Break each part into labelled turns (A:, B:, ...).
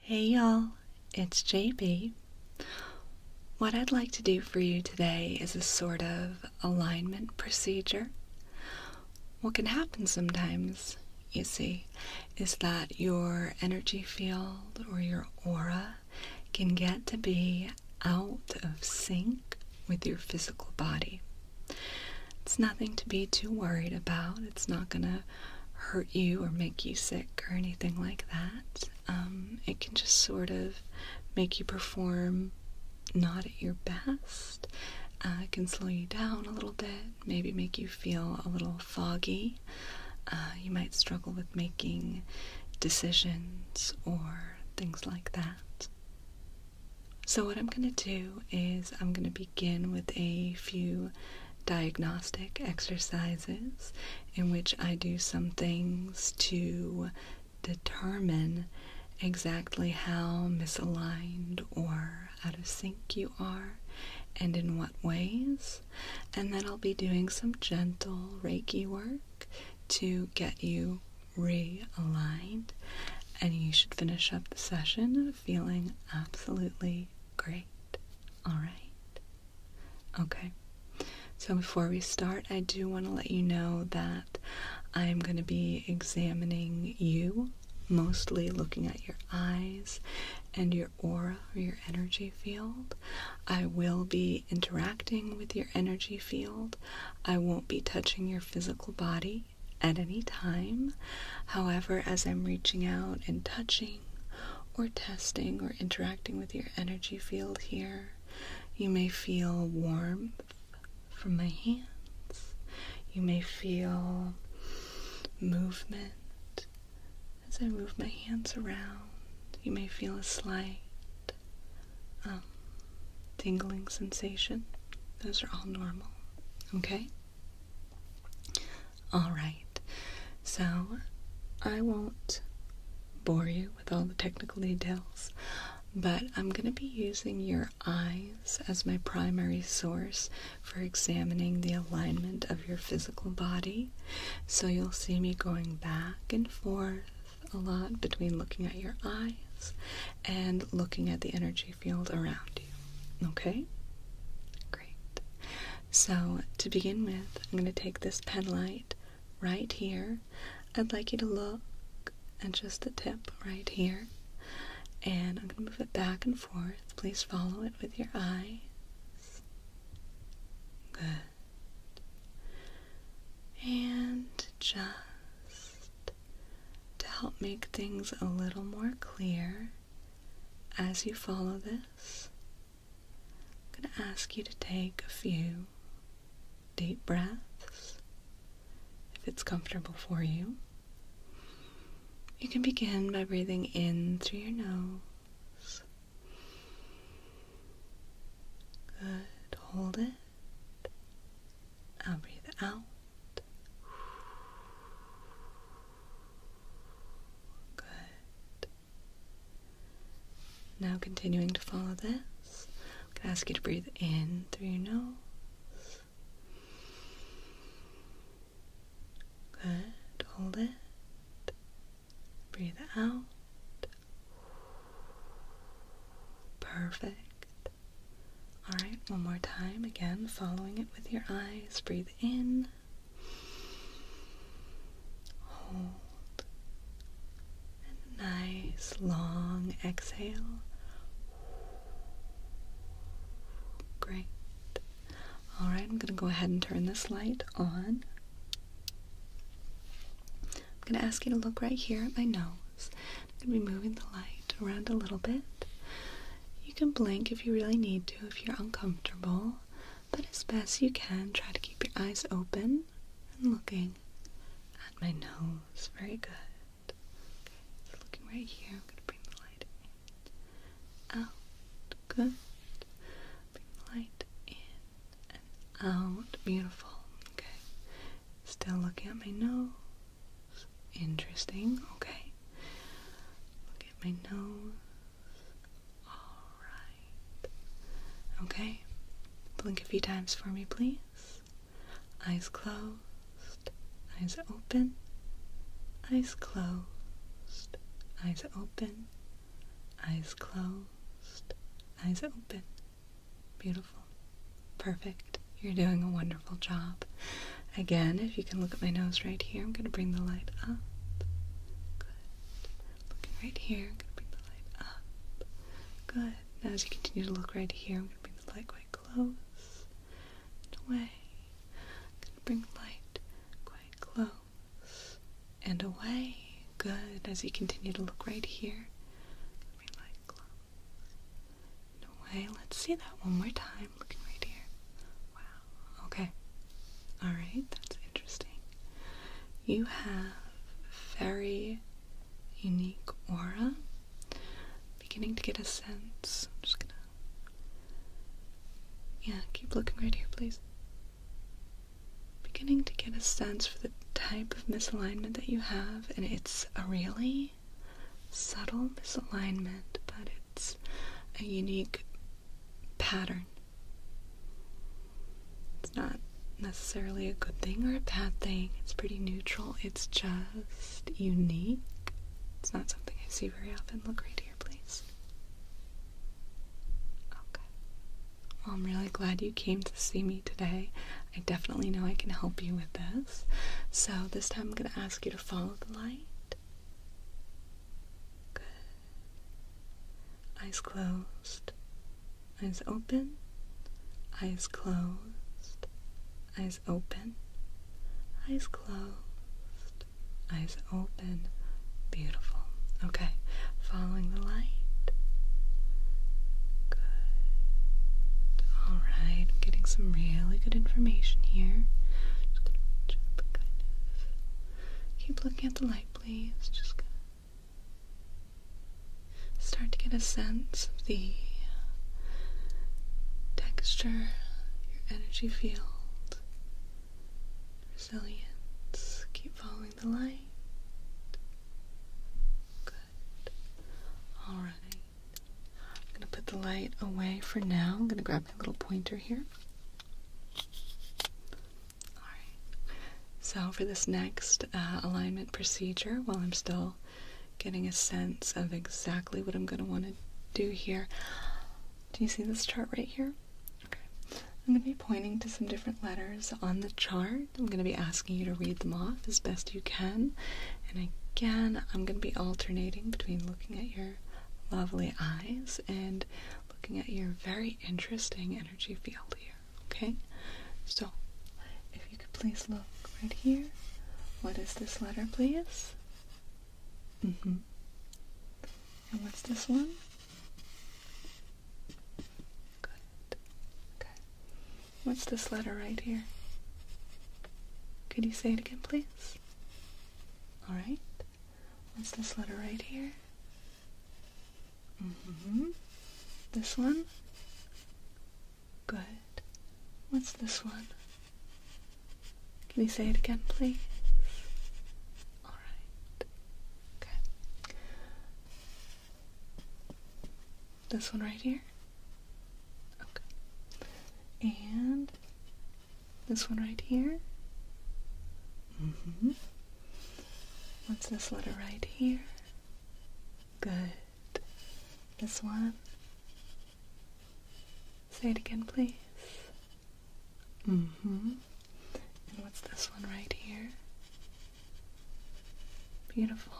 A: Hey y'all, it's JB. What I'd like to do for you today is a sort of alignment procedure. What can happen sometimes, you see, is that your energy field or your aura can get to be out of sync with your physical body. It's nothing to be too worried about. It's not going to hurt you or make you sick or anything like that. Um, it can just sort of make you perform not at your best. Uh, can slow you down a little bit, maybe make you feel a little foggy. Uh, you might struggle with making decisions or things like that. So, what I'm going to do is I'm going to begin with a few diagnostic exercises in which I do some things to determine exactly how misaligned or out of sync you are and in what ways. And then I'll be doing some gentle Reiki work to get you realigned. And you should finish up the session feeling absolutely great. All right. Okay. So before we start, I do want to let you know that I'm going to be examining you, mostly looking at your eyes and your aura or your energy field. I will be interacting with your energy field. I won't be touching your physical body at any time. However, as I'm reaching out and touching or testing or interacting with your energy field here, you may feel warm from my hands. You may feel movement as I move my hands around. You may feel a slight um, tingling sensation. Those are all normal, okay? Alright, so I won't bore you with all the technical details but I'm going to be using your eyes as my primary source for examining the alignment of your physical body. So you'll see me going back and forth a lot between looking at your eyes and looking at the energy field around you. Okay? Great. So to begin with, I'm going to take this pen light right here I'd like you to look at just the tip right here. And I'm going to move it back and forth. Please follow it with your eyes. Good. And just to help make things a little more clear as you follow this, I'm going to ask you to take a few deep breaths if it's comfortable for you. You can begin by breathing in through your nose. Good. Hold it. I'll breathe out. Good. Now continuing to follow this. I'm going to ask you to breathe in through your nose. Good. Hold it. Breathe out. Perfect. Alright, one more time. Again, following it with your eyes. Breathe in. Hold. And a nice long exhale. Great. All right, I'm going to go ahead and turn this light on. I'm going to ask you to look right here at my nose. I'm going to be moving the light around a little bit. You can blink if you really need to, if you're uncomfortable, but as best you can, try to keep your eyes open and looking at my nose. Very good. Okay, looking right here, I'm gonna bring the light in, out, good. Bring the light in and out, beautiful. Okay, still looking at my nose. Interesting. Okay, look at my nose. All right. Okay, blink a few times for me, please eyes closed, eyes open, eyes closed, eyes open, eyes closed, eyes open. Beautiful. Perfect. You're doing a wonderful job. Again, if you can look at my nose right here, I'm going to bring the light up. Good. Looking right here, I'm going to bring the light up. Good. Now as you continue to look right here, I'm going to bring light quite close and away. i bring light quite close and away. Good. As you continue to look right here, bring light close and away. Let's see that one more time. Looking right here. Wow. Okay. All right. That's interesting. You have very unique aura. Beginning to get a sense. I'm just gonna. Yeah, keep looking right here, please. Beginning to get a sense for the type of misalignment that you have, and it's a really subtle misalignment, but it's a unique pattern. It's not necessarily a good thing or a bad thing, it's pretty neutral, it's just unique. It's not something I see very often. Look right here, please. Okay. Well, I'm really glad you came to see me today. I definitely know I can help you with this. So, this time I'm going to ask you to follow the light. Good. Eyes closed eyes open, eyes closed, eyes open, eyes closed, eyes open. Beautiful. Okay, following the light. Good. Alright, getting some really good information here. Just Keep looking at the light, please. Just Start to get a sense of the texture, your energy field, resilience. Keep following the light. Good. All right. I'm going to put the light away for now. I'm going to grab my little pointer here. All right. So, for this next uh, alignment procedure, while I'm still getting a sense of exactly what I'm going to want to do here. Do you see this chart right here? Okay. I'm going to be pointing to some different letters on the chart. I'm going to be asking you to read them off as best you can. And again, I'm going to be alternating between looking at your lovely eyes and looking at your very interesting energy field here. Okay? So, if you could please look right here. What is this letter, please? Mm-hmm. And what's this one? Good. Okay. What's this letter right here? Could you say it again, please? Alright. What's this letter right here? Mm-hmm. This one? Good. What's this one? Can you say it again, please? Alright. Okay. This one right here? Okay. And this one right here? Mm-hmm. What's this letter right here? Good. This one. Say it again, please. hmm what's this one right here? Beautiful.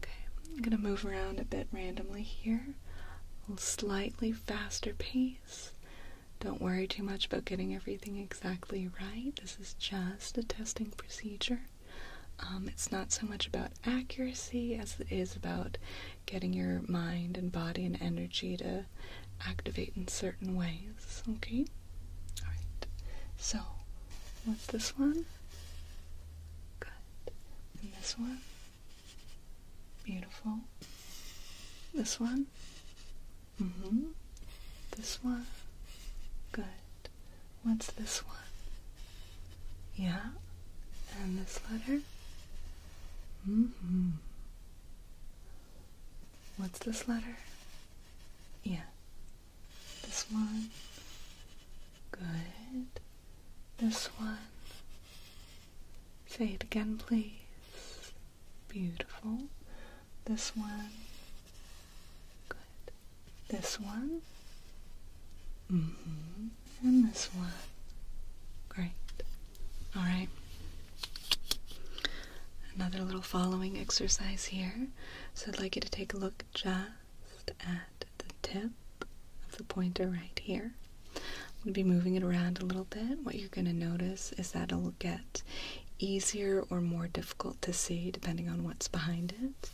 A: Okay, I'm gonna move around a bit randomly here. A slightly faster pace. Don't worry too much about getting everything exactly right. This is just a testing procedure. Um, it's not so much about accuracy as it is about getting your mind and body and energy to activate in certain ways. Okay? Alright. So, with this one? Good. this one? Beautiful. This one? Mm hmm. This one? Good. What's this one? Yeah. And this letter? Mm-hmm. What's this letter? Yeah. This one. Good. This one. Say it again, please. Beautiful. This one. Good. This one. Mm-hmm. And this one. Great. All right. Another little following exercise here. So I'd like you to take a look just at the tip of the pointer right here. I'm going to be moving it around a little bit. What you're going to notice is that it'll get easier or more difficult to see depending on what's behind it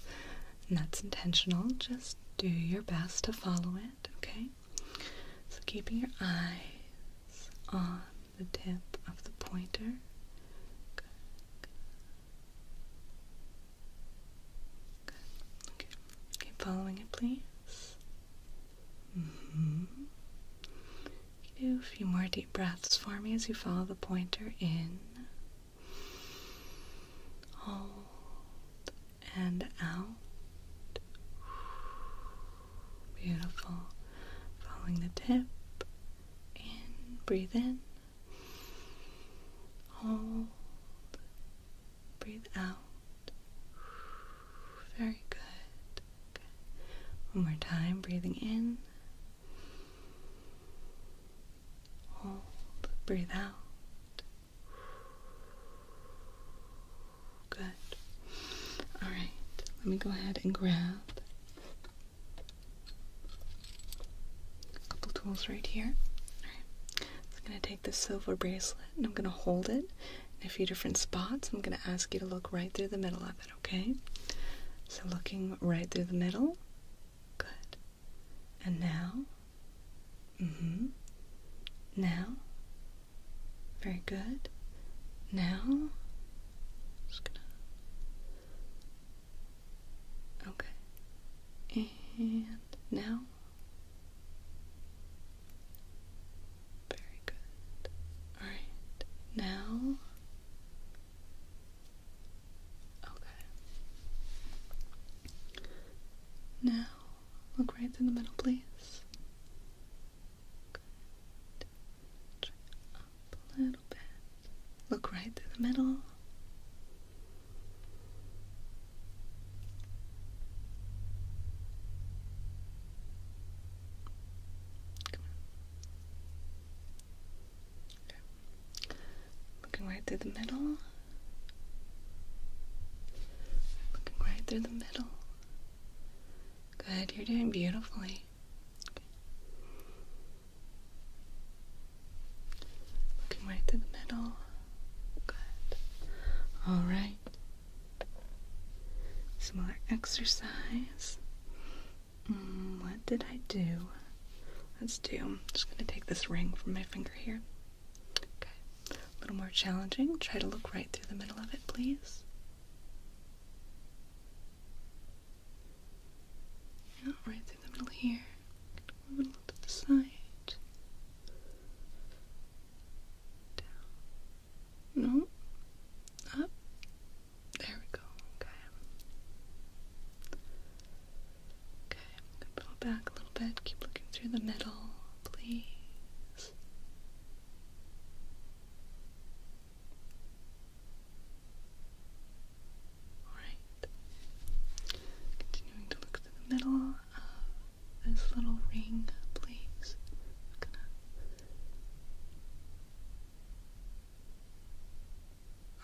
A: and that's intentional. Just do your best to follow it, okay? So keeping your eyes on the tip of the pointer. Good. Good. Okay. following it, please. Do mm-hmm. a few more deep breaths for me as you follow the pointer in out and out. Beautiful. Following the tip. In, breathe in. Hold. Breathe out. Very good. good. One more time, breathing in. Hold. Breathe out. Good. All right. Let me go ahead and grab a couple tools right here. All right. I'm going to take this silver bracelet and I'm going to hold it in a few different spots. I'm going to ask you to look right through the middle of it, okay? So looking right through the middle. Good. And now. Mm-hmm. Now. Very good. Now. Just gonna. Okay. And now. Very good. All right. Now. Okay. Now, look right through the middle, please. up a little bit. Look right through the middle. Looking right through the middle. Looking right through the middle. Good, you're doing beautifully. Looking right through the middle. Good. Alright. Some more exercise. Mm, what did I do? Let's do. I'm just going to take this ring from my finger here. Okay, a little more challenging. Try to look right through the middle of it, please. right through the middle here. Move a little to the side. No. Up. There we go. Okay. Okay, pull back a little bit. Keep looking through the middle, please. Alright. Continuing to look through the middle of this little ring, please.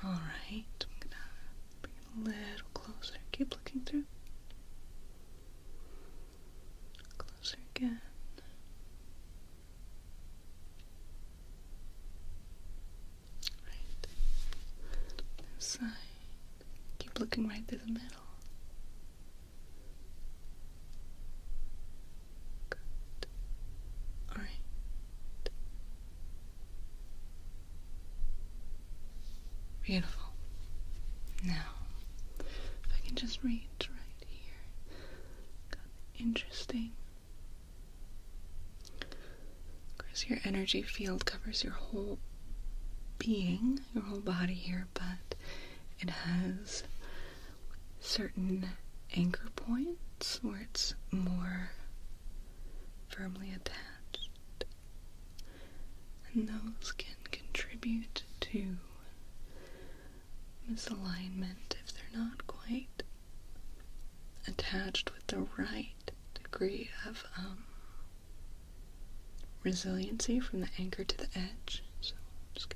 A: Alright, I'm gonna bring it a little closer. Keep looking through. Closer again. Right. This side. Keep looking right through the middle. Good. All right. Beautiful. Now, if I can just reach right here, got interesting. Because your energy field covers your whole being, your whole body here, but it has certain anchor points where it's more firmly attached and those can contribute to misalignment if they're not quite attached with the right degree of um, resiliency from the anchor to the edge. So just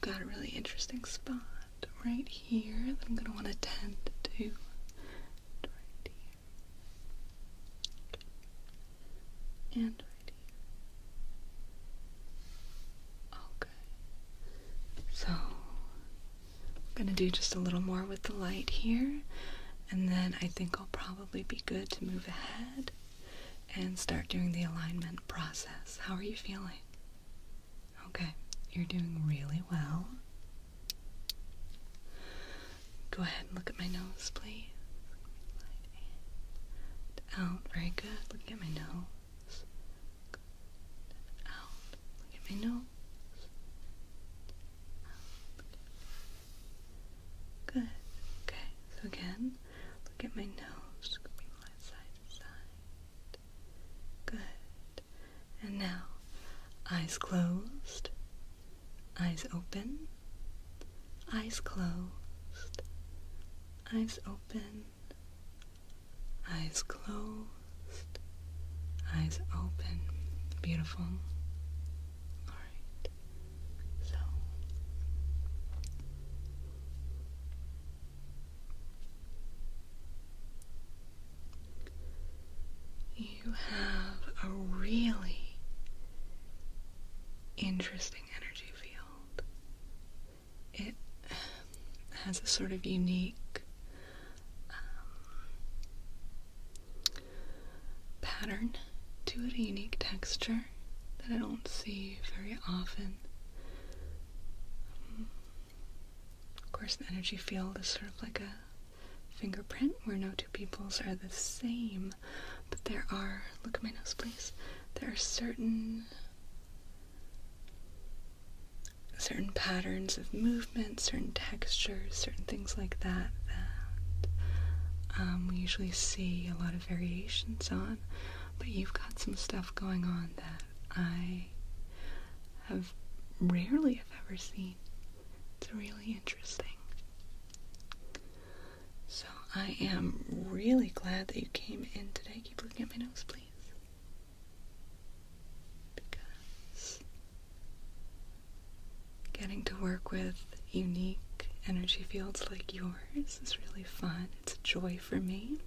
A: Got a really interesting spot right here that I'm going to want to tend to. And Okay. So, I'm going to do just a little more with the light here, and then I think I'll probably be good to move ahead and start doing the alignment process. How are you feeling? Okay, you're doing really well. Go ahead and look at my nose, please. out. Very good. Look at my nose. Out. Look at my nose. Good. Okay. So again, look at my nose. Good. And now, eyes closed, eyes open, eyes closed, eyes open, eyes closed, eyes open. Beautiful. Alright, so you have a really interesting energy field. It has a sort of unique um, pattern to it, a unique texture that I don't see very often. Of course, the energy field is sort of like a fingerprint where no two peoples are the same, but there are, look at my nose please, there are certain certain patterns of movement, certain textures, certain things like that that um, we usually see a lot of variations on, but you've got some stuff going on that I I have rarely, if ever, seen. It's really interesting. So I am really glad that you came in today. Keep looking at my nose, please. Because getting to work with unique energy fields like yours is really fun. It's a joy for me.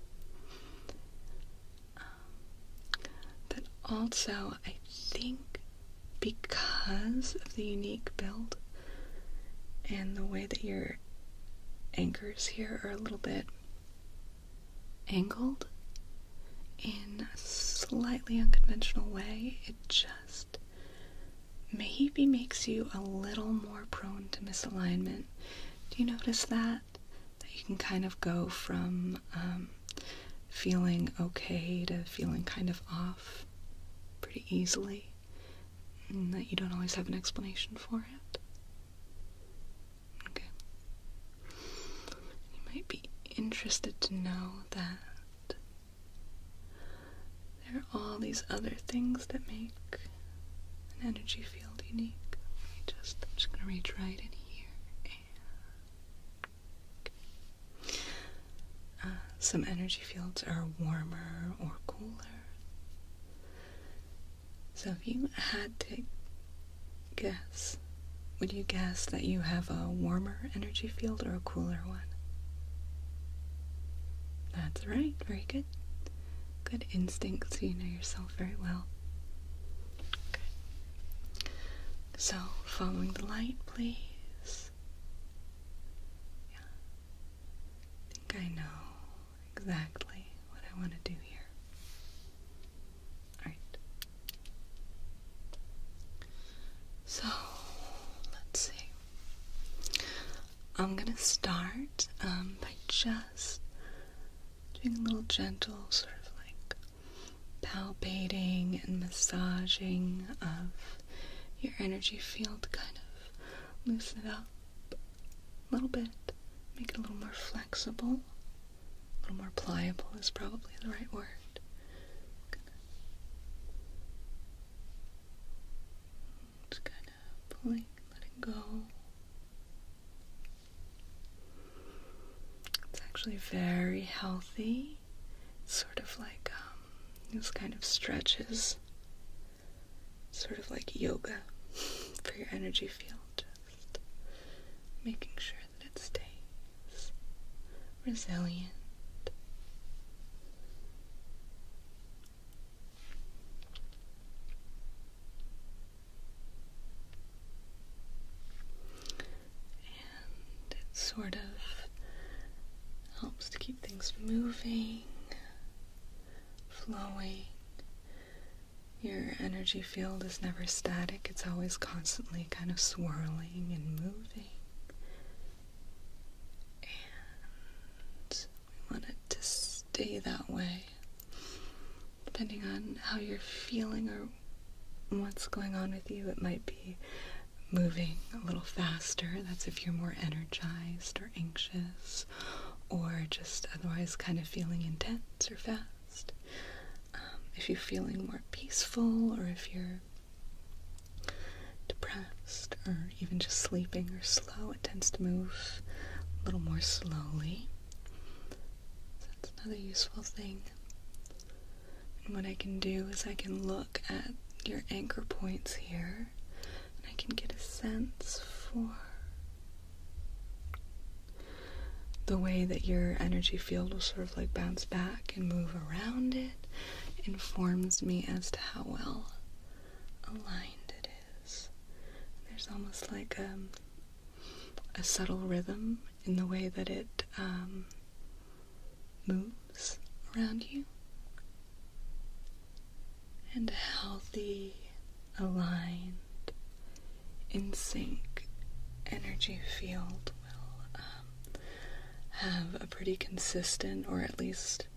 A: Um, also, I think because of the unique build and the way that your anchors here are a little bit angled in a slightly unconventional way, it just maybe makes you a little more prone to misalignment. Do you notice that? that, you can kind of go from um, feeling okay to feeling kind of off pretty easily, and that you don't always have an explanation for it. Okay. You might be interested to know that there are all these other things that make an energy field unique. Let me just, I'm just going to reach right in here uh, some energy fields are warmer or cooler. So if you had to guess, would you guess that you have a warmer energy field or a cooler one? That's right, very good. Good instincts, you know yourself very well. Okay. So, following the light, please. Yeah. I think I know exactly what I want to do here. Alright. So, let's see. I'm gonna start um, by just doing a little gentle sort of like palpating and massaging of your energy field, kind of loosen it up a little bit, make it a little more flexible, a little more pliable is probably the right word. Just kind of pulling, letting go. It's actually very healthy. It's sort of like um, kind of stretches, sort of like yoga for your energy field, just making sure that it stays resilient. And it sort of helps to keep things moving, flowing. Your energy field is never static, it's always constantly kind of swirling and moving. And we want it to stay that way, depending on how you're feeling or what's going on with you. It might be moving a little faster. That's if you're more energized or anxious or just otherwise kind of feeling intense or fast. Um, if you're feeling more peaceful or if you're depressed or even just sleeping or slow, it tends to move a little more slowly. So that's another useful thing. And what I can do is I can look at your anchor points here and I can get a sense for the way that your energy field will sort of like bounce back and move around it informs me as to how well aligned it is. There's almost like a, um, a subtle rhythm in the way that it um, moves around you, and a healthy, aligned, in sync energy field will um, have a pretty consistent or at least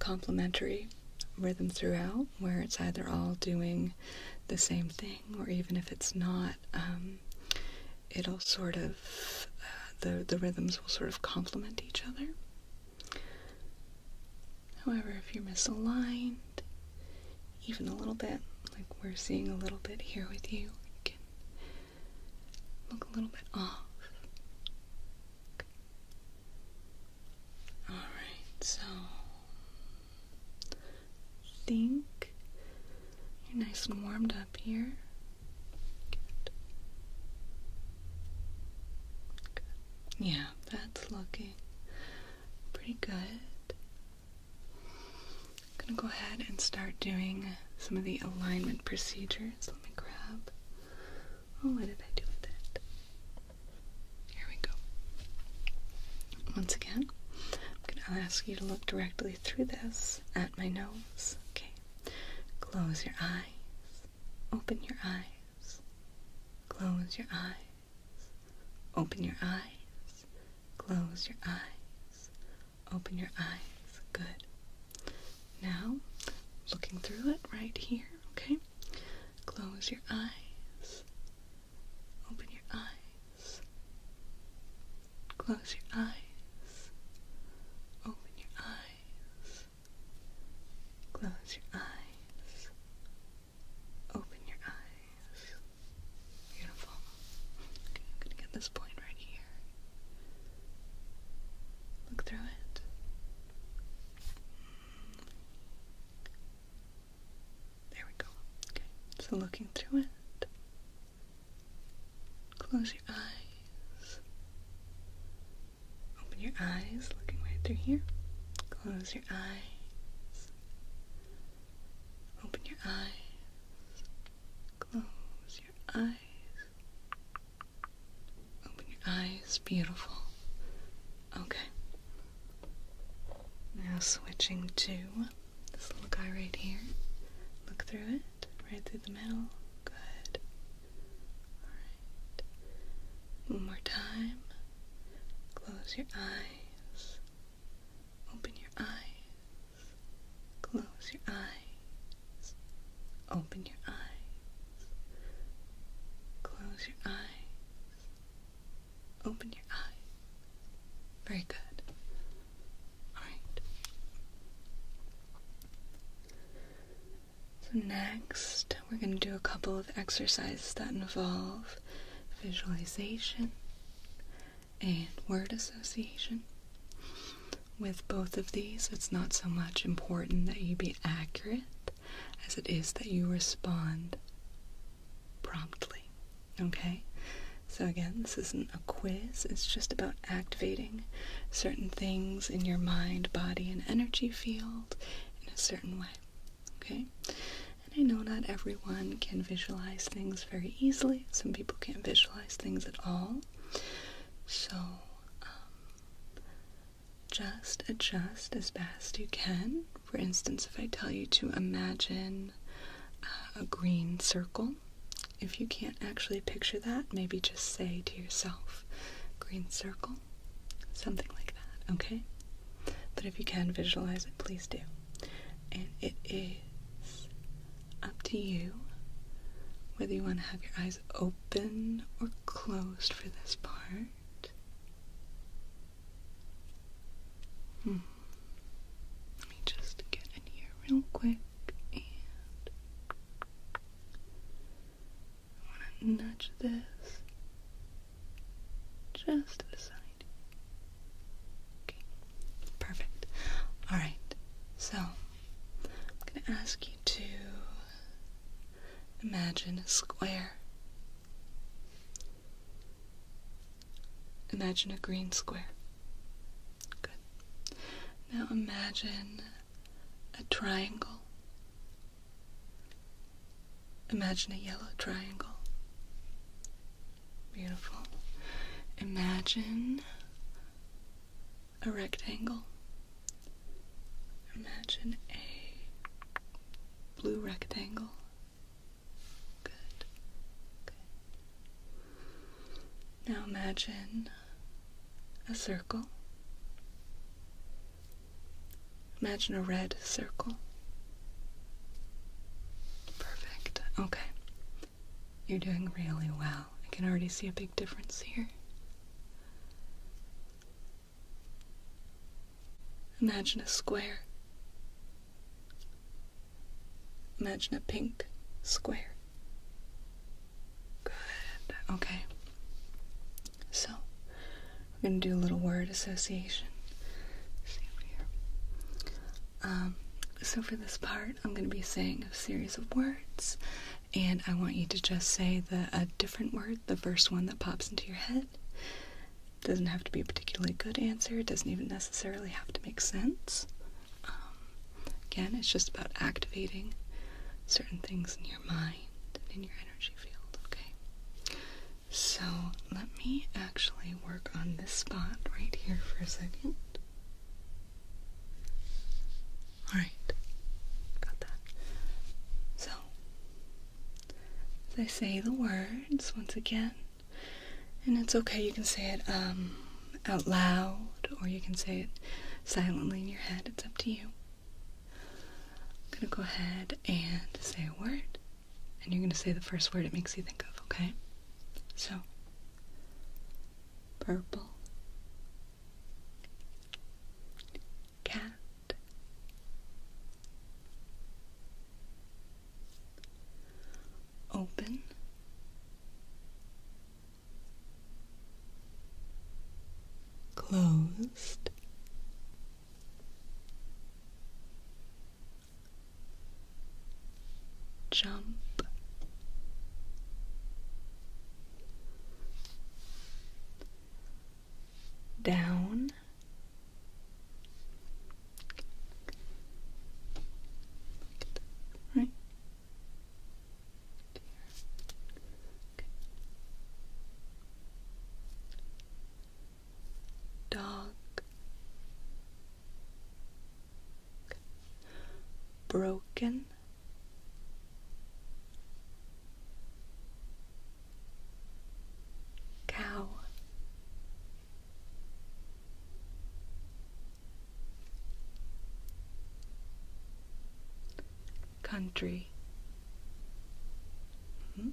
A: complementary rhythm throughout, where it's either all doing the same thing, or even if it's not, um, it'll sort of uh, the the rhythms will sort of complement each other. However, if you're misaligned, even a little bit, like we're seeing a little bit here with you, it can look a little bit off. Alright, so think you're nice and warmed up here. Yeah, that's looking pretty good. I'm gonna go ahead and start doing some of the alignment procedures. Let me grab. Oh, what did I do with it? Here we go. Once again, I'm gonna ask you to look directly directly through this at my nose. Okay. Close your eyes. Open your eyes. Close your eyes. Open your eyes. Close your eyes. Open your eyes. Good. Now, looking through it right here, okay? Close your eyes. Open your eyes. Close your eyes. Open your eyes. Close your eyes. Open your eyes. Beautiful. Okay, I'm gonna get this point right here. Look through it. There we go. Okay, so looking through it, Close your eyes. Open your eyes, looking right through here. Close your eyes. Open your eyes. Close your eyes. Open your eyes. Beautiful. Okay. Now switching to this little guy right here. Look through it, right through the middle. Good. Alright. One more time. Close your eyes. Open your eyes. Close your eyes. Open your eyes. Close your eyes. Open your eyes. Very good. Alright. So, next, we're going to do a couple of exercises that involve visualization and word association. With both of these, it's not so much important that you be accurate as it is that you respond promptly. Okay? So, again, this isn't a quiz, it's just about activating certain things in your mind, body, and energy field in a certain way. Okay? And I know not everyone can visualize things very easily, some people can't visualize things at all. So, um, just adjust as best you can. For instance, if I tell you to imagine uh, a green circle, if you can't actually picture that, maybe just say to yourself, green circle, something like that, okay? But if you can visualize it, please do. And it is up to you whether you want to have your eyes open or closed for this part. Hmm. Let me just get in here real quick. I want to nudge this just to the side. Okay, perfect. All right, so I'm going to ask you to imagine a square. Imagine a green square. Good. Now imagine a triangle. Imagine a yellow triangle. Beautiful. Imagine a rectangle. Imagine a blue rectangle. Good. Now imagine a circle. Imagine a red circle. Perfect. Okay. You're doing really well. I can already see a big difference here. Imagine a square. Imagine a pink square. Good. Okay. So, we're going to do a little word association. Um, so, for this part, I'm going to be saying a series of words, and I want you to just say the, a different word, the first one that pops into your head. doesn't have to be a particularly good answer, it doesn't even necessarily have to make sense. Um, again, it's just about activating certain things in your mind and in your energy field, okay? So let me actually work on this spot right here for a second. Alright, got that. So, as I say the words once again, and it's okay, you can say it um, out loud or you can say it silently in your head. It's up to you. I'm going to go ahead and say a word, and you're going to say the first word it makes you think of, okay? So, purple, cat. Open closed. Jump down, right up Broken. Cow Country. Hmm?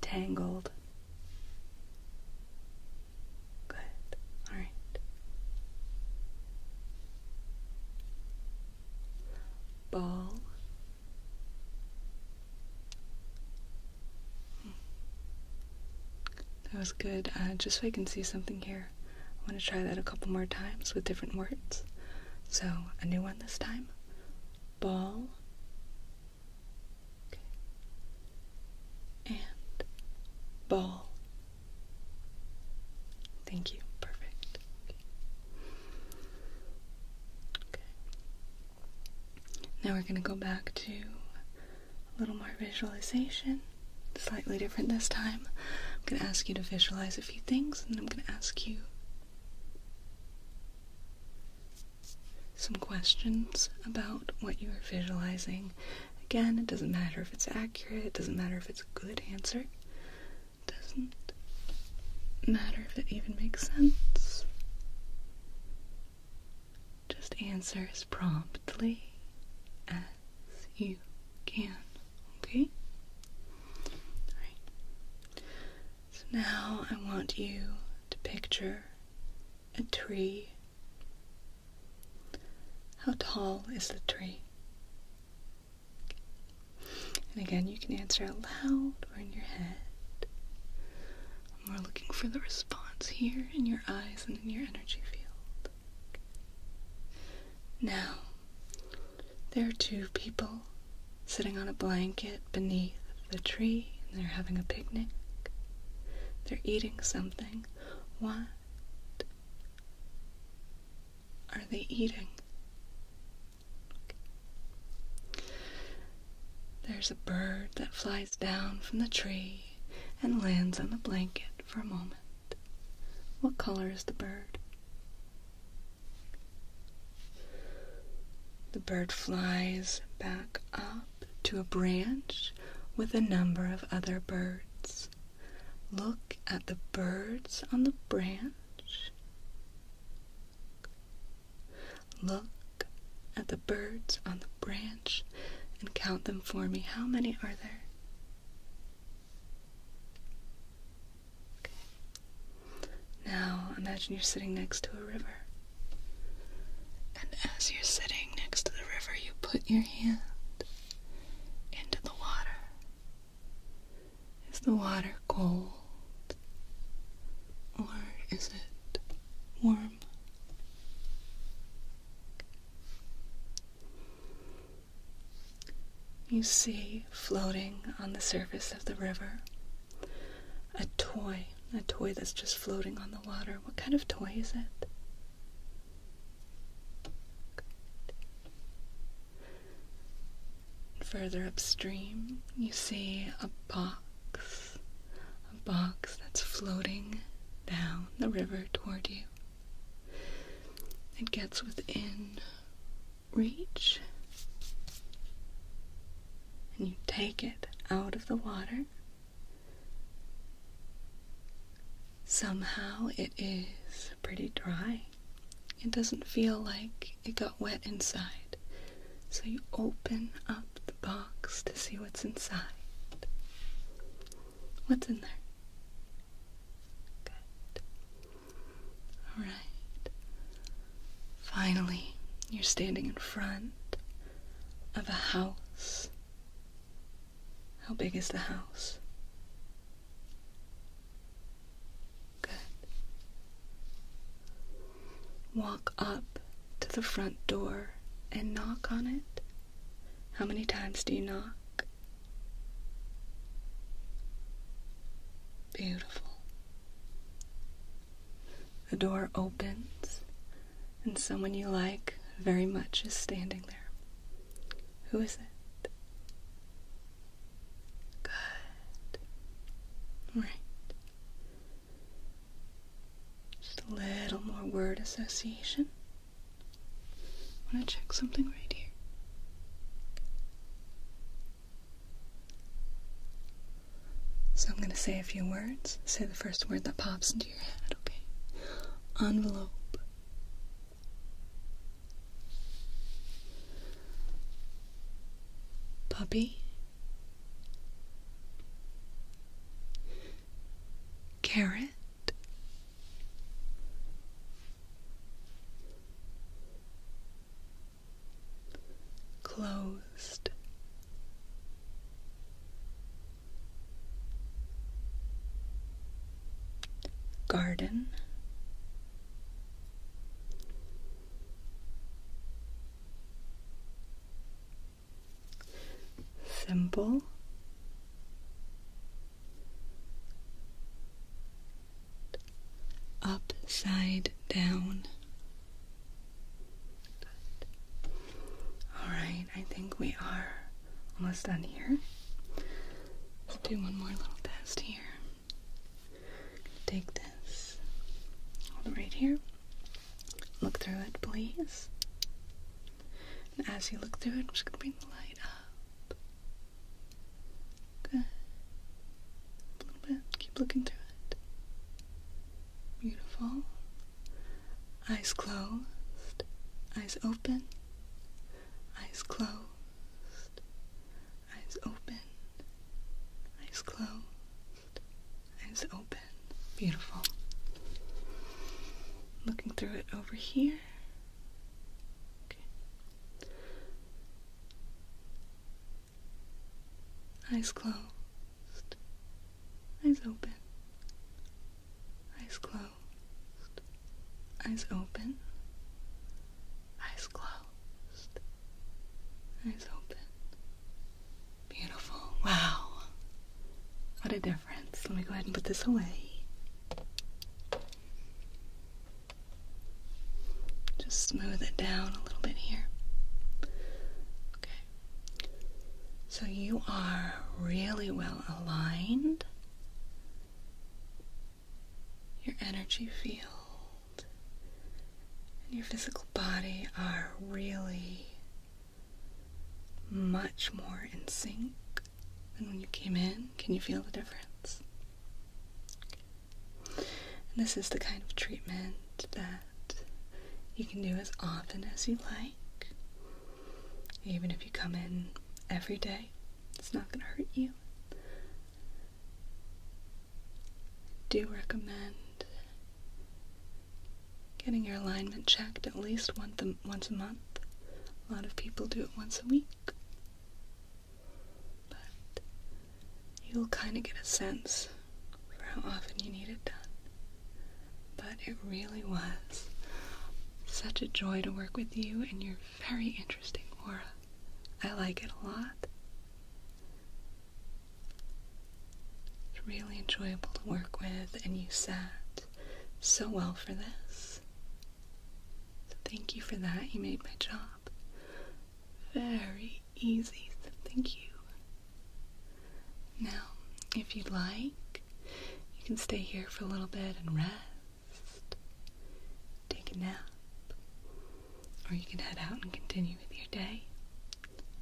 A: Tangled. Good. All right. Ball. That was good. Uh, just so I can see something here, I want to try that a couple more times with different words. So, a new one this time. Ball. And ball. Thank you. Perfect. okay. Now we're going to go back to a little more visualization, slightly different this time. I'm going to ask you to visualize a few things, and I'm going to ask you some questions about what you are visualizing. Again, it doesn't matter if it's accurate, it doesn't matter if it's a good answer, it doesn't matter if it even makes sense. Just answer as promptly as you can, okay? Alright. So now I want you to picture a tree. How tall is the tree? And again, you can answer out loud or in your head we're looking for the response here in your eyes and in your energy field. Now, there are two people sitting on a blanket beneath the tree and they're having a picnic. They're eating something. What are they eating? There's a bird that flies down from the tree and lands on the blanket for a moment. What color is the bird? The bird flies back up to a branch with a number of other birds. Look at the birds on the branch. Look at the birds on the branch and count them for me. How many are there? Okay. Now imagine you're sitting next to a river. And as you're sitting next to the river, you put your hand into the water. Is the water cold? Or is it warm. You see floating on the surface of the river a toy, a toy that's just floating on the water. What kind of toy is it? Further upstream, you see a box a box that's floating down the river toward you. It gets within reach, and you take it out of the water. Somehow it is pretty dry. It doesn't feel like it got wet inside. So you open up the box to see what's inside. What's in there? Good. Alright. Finally, you're standing in front of a house. How big is the house? Good walk up to the front door and knock on it? How many times do you knock? Beautiful. The door opens, and someone you like very much is standing there. Who is it? Good. Right. Just a little more word association. I want to check something right here. So I'm going to say a few words. Say the first word that pops into your head, okay? Envelope. Puppy. Carrot. Closed Garden simple, upside down. All right, I think we are almost done here. Let's do one more little test here. Take this all right here. Look through it, please. And as you look through it, I'm just gonna bring the light up. Good. A little bit. Keep looking through it. Beautiful. Eyes closed. Eyes open. Eyes closed. Eyes open. Eyes closed. Eyes open. Beautiful. Looking through it over here. Eyes closed. Eyes open. Eyes closed. Eyes open. Eyes closed. Eyes open. Beautiful. Wow. What a difference. Let me go ahead and put this away. Just smooth it down a little bit here. Okay. So you are really well aligned. Your energy field and your physical body are really much more in sync than when you came in. Can you feel the difference? this is the kind of treatment that you can do as often as you like. Even if you come in every day, it's not going to hurt you. do recommend Getting your alignment checked at least once a, once a month. A lot of people do it once a week. But you'll kind of get a sense for how often you need it done. But it really was such a joy to work with you and your very interesting aura. I like it a lot. It's really enjoyable to work with, and you sat so well for this. So thank you for that. You made my job very easy. thank you. Now, if you'd like, you can stay here for a little bit and rest, take a nap, or you can head out and continue with your day.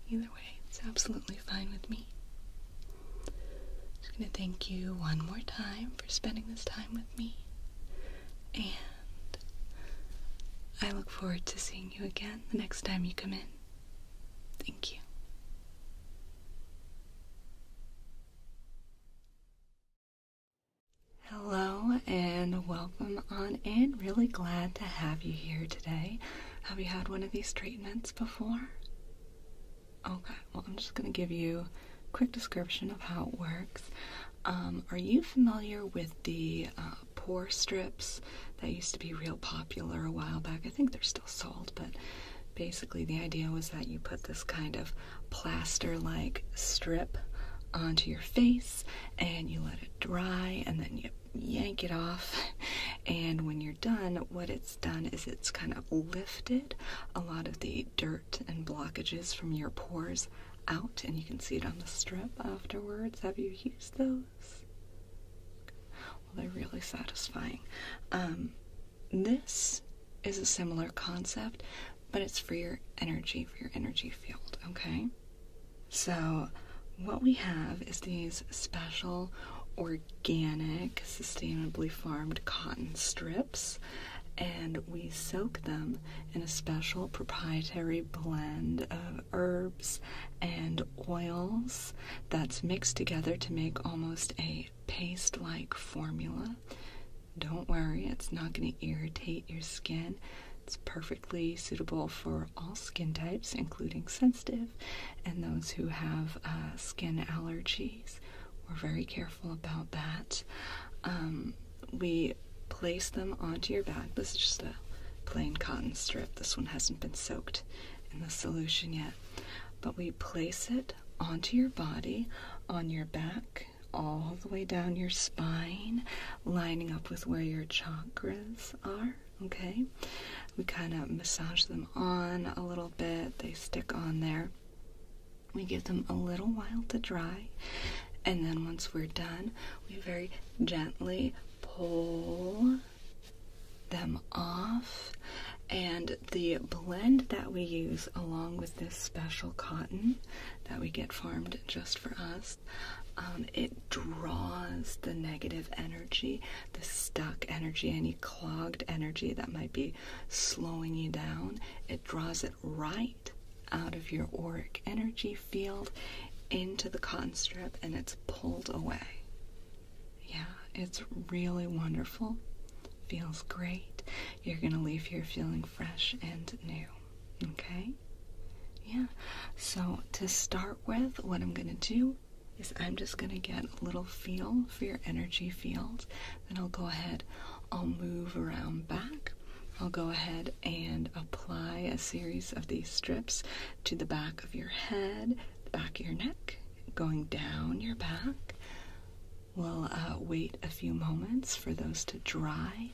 A: Either way, it's absolutely fine with me. I'm just going to thank you one more time for spending this time with me. And I look forward to seeing you again the next time you come in. Thank you. Hello and welcome on in. Really glad to have you here today. Have you had one of these treatments before? Okay, well, I'm just going to give you a quick description of how it works. Um, are you familiar with the uh, pore strips that used to be real popular a while back? I think they're still sold, but basically, the idea was that you put this kind of plaster like strip onto your face and you let it dry and then you yank it off. And when you're done, what it's done is it's kind of lifted a lot of the dirt and blockages from your pores out, and you can see it on the strip afterwards. Have you used those? Well, they're really satisfying. Um, this is a similar concept, but it's for your energy, for your energy field, okay? So, what we have is these special organic, sustainably farmed cotton strips, and we soak them in a special proprietary blend of herbs and oils that's mixed together to make almost a paste like formula. Don't worry, it's not going to irritate your skin. It's perfectly suitable for all skin types, including sensitive and those who have uh, skin allergies. We're very careful about that. Um, we place them onto your back. This is just a plain cotton strip. This one hasn't been soaked in the solution yet. But we place it onto your body, on your back, all the way down your spine, lining up with where your chakras are okay? We kind of massage them on a little bit, they stick on there. We give them a little while to dry, and then once we're done, we very gently pull them off. And the blend that we use, along with this special cotton that we get farmed just for us, um, it draws the negative energy the stuck energy, any clogged energy that might be slowing you down, it draws it right out of your auric energy field into the cotton strip and it's pulled away. Yeah, it's really wonderful. Feels great. You're going to leave here feeling fresh and new. Okay? Yeah. So, to start with, what I'm going to do is I'm just going to get a little feel for your energy field. Then I'll go ahead, I'll move around back. I'll go ahead and apply a series of these strips to the back of your head, the back of your neck, going down your back. We'll uh, wait a few moments for those to dry.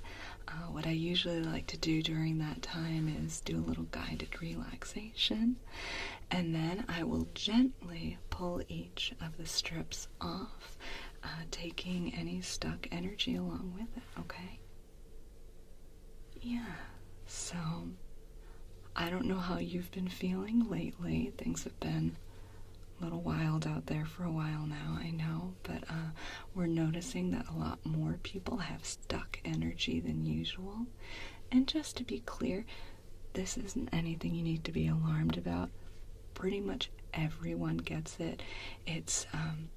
A: Uh, what I usually like to do during that time is do a little guided relaxing and then I will gently pull each of the strips off, uh, taking any stuck energy along with it, okay? Yeah, so I don't know how you've been feeling lately. Things have been a little wild out there for a while now, I know, but uh, we're noticing that a lot more people have stuck energy than usual. And just to be clear, this isn't anything you need to be alarmed about. Pretty much everyone gets it. It's um,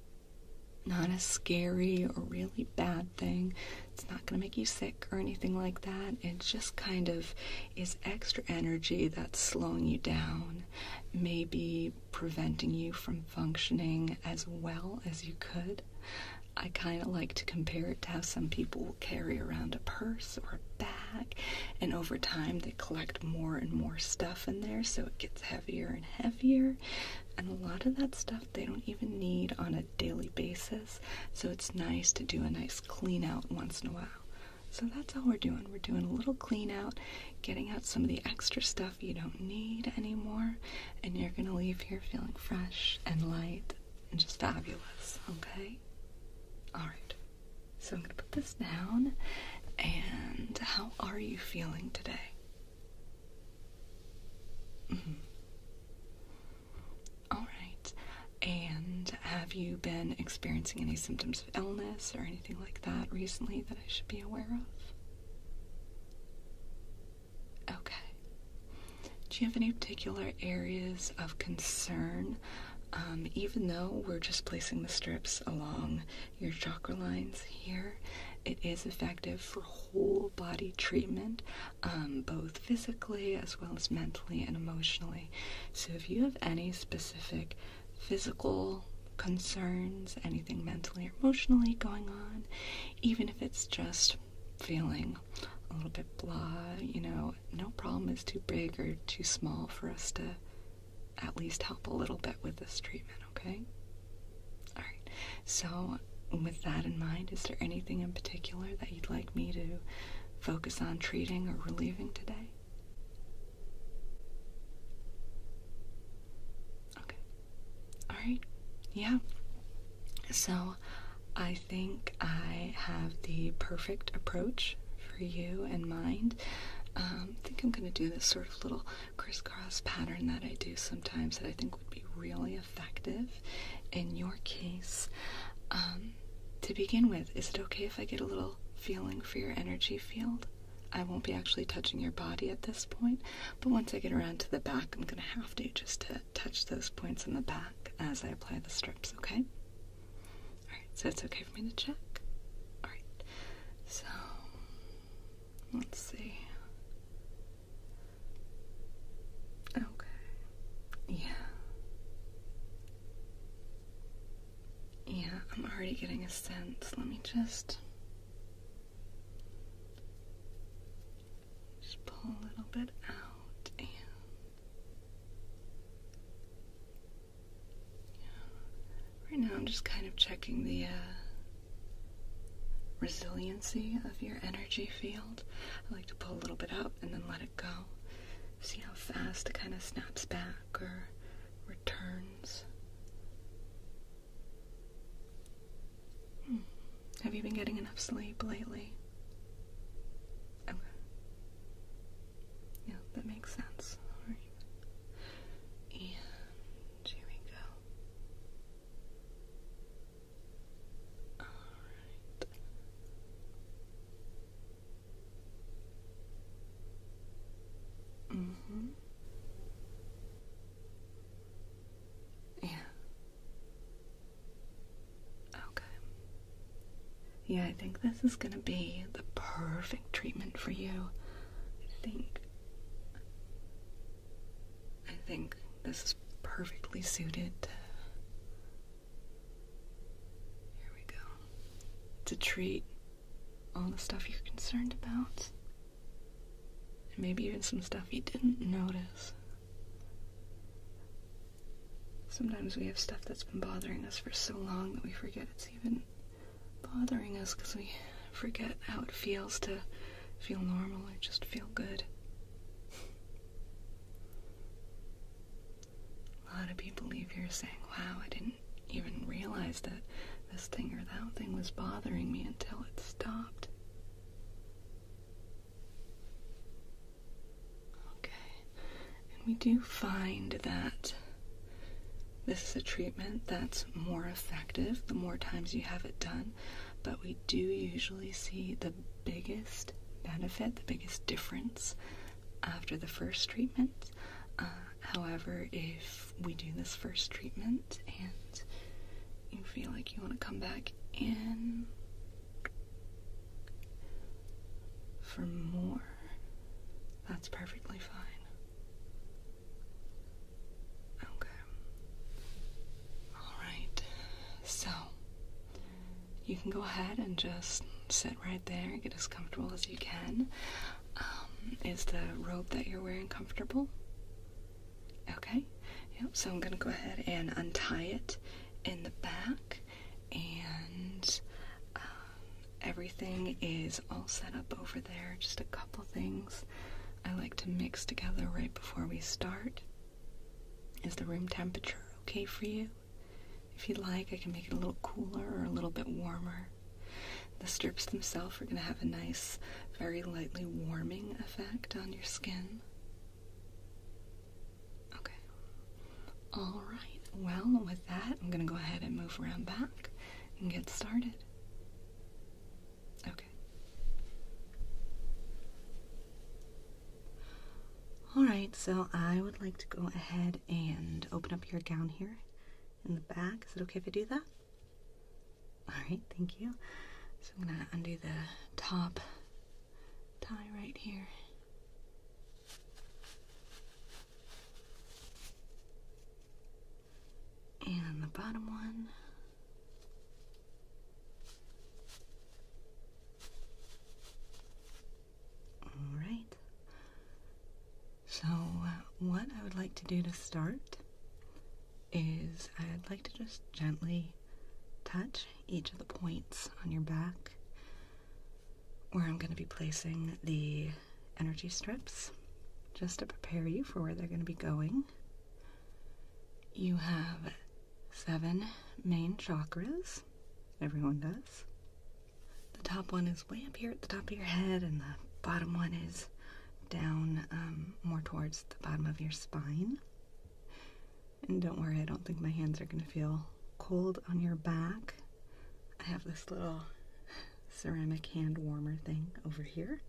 A: not a scary or really bad thing. It's not going to make you sick or anything like that. It just kind of is extra energy that's slowing you down, maybe preventing you from functioning as well as you could. I kind of like to compare it to how some people carry around a purse or a bag, and over time they collect more and more stuff in there, so it gets heavier and heavier. And a lot of that stuff they don't even need on a daily basis, so it's nice to do a nice clean out once in a while. So that's all we're doing. We're doing a little clean out, getting out some of the extra stuff you don't need anymore, and you're going to leave here feeling fresh and light just fabulous, okay? Alright, so I'm gonna put this down. And how are you feeling today? Mm-hmm. Alright, and have you been experiencing any symptoms of illness or anything like that recently that I should be aware of? Okay. Do you have any particular areas of concern? Um, even though we're just placing the strips along your chakra lines here, it is effective for whole body treatment, um, both physically as well as mentally and emotionally. So, if you have any specific physical concerns, anything mentally or emotionally going on, even if it's just feeling a little bit blah, you know, no problem is too big or too small for us to at least help a little bit with this treatment, okay? Alright, so with that in mind, is there anything in particular that you'd like me to focus on treating or relieving today? Okay. Alright. Yeah. So, I think I have the perfect approach for you in mind. Um, I think I'm going to do this sort of little crisscross pattern that I do sometimes that I think would be really effective in your case. Um, to begin with, is it okay if I get a little feeling for your energy field? I won't be actually touching your body at this point, but once I get around to the back, I'm going to have to just to touch those points on the back as I apply the strips, okay? Alright, so it's okay for me to check? Alright, so let's see. Okay, yeah. Yeah, I'm already getting a sense. Let me just. Just pull a little bit out and right now I'm just kind of checking the uh, resiliency of your energy field. I like to pull a little bit out and then let it go. See how fast it kind of snaps back or returns. Hmm. Have you been getting enough sleep lately? Okay. Yeah, that makes sense. Alright. And here we go. Alright. Mm-hmm. Yeah. Okay. Yeah, I think this is gonna be the perfect treatment for you. I think. I think this is perfectly suited Here we go. To treat all the stuff you're concerned about. And maybe even some stuff you didn't notice. Sometimes we have stuff that's been bothering us for so long that we forget it's even bothering us because we forget how it feels to feel normal or just feel good. A lot of people leave here saying, wow, I didn't even realize that this thing or that thing was bothering me until it stopped. Okay, and we do find that this is a treatment that's more effective the more times you have it done, but we do usually see the biggest benefit, the biggest difference after the first treatment. Uh, however, if we do this first treatment and you feel like you want to come back in, for more, that's perfectly fine. Okay. Alright, so you can go ahead and just sit right there, get as comfortable as you can. Um, is the robe that you're wearing comfortable? Okay, yep, so I'm gonna go ahead and untie it in the back, and um, everything is all set up over there. Just a couple things I like to mix together right before we start. Is the room temperature okay for you? If you'd like, I can make it a little cooler or a little bit warmer. The strips themselves are going to have a nice, very lightly warming effect on your skin. Okay. All right. Well, with that, I'm going to go ahead and move around back and get started. Okay. All right, so I would like to go ahead and open up your gown here in the back. Is it okay if I do that? All right, thank you. So I'm going to undo the top tie right here. And the bottom one. All right. So, what I would like to do to start is I'd like to just gently touch each of the points on your back where I'm going to be placing the energy strips just to prepare you for where they're going to be going. You have seven main chakras, everyone does. The top one is way up here at the top of your head, and the bottom one is down um, more towards the bottom of your spine. And don't worry, I don't think my hands are going to feel cold on your back. I have this little ceramic hand warmer thing over here,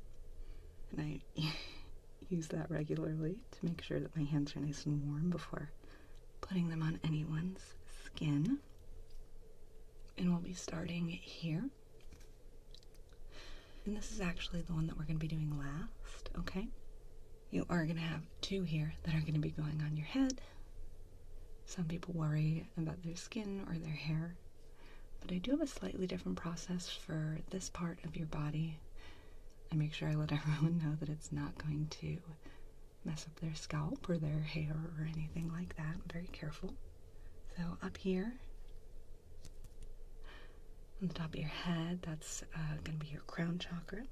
A: and I use that regularly to make sure that my hands are nice and warm before putting them on anyone's skin. And we'll be starting here. And this is actually the one that we're going to be doing last, okay? you are going to have two here that are going to be going on your head. Some people worry about their skin or their hair, but I do have a slightly different process for this part of your body. I make sure I let everyone know that it's not going to mess up their scalp or their hair or anything like that. I'm very careful. So, up here on the top of your head, that's uh, going to be your crown chakra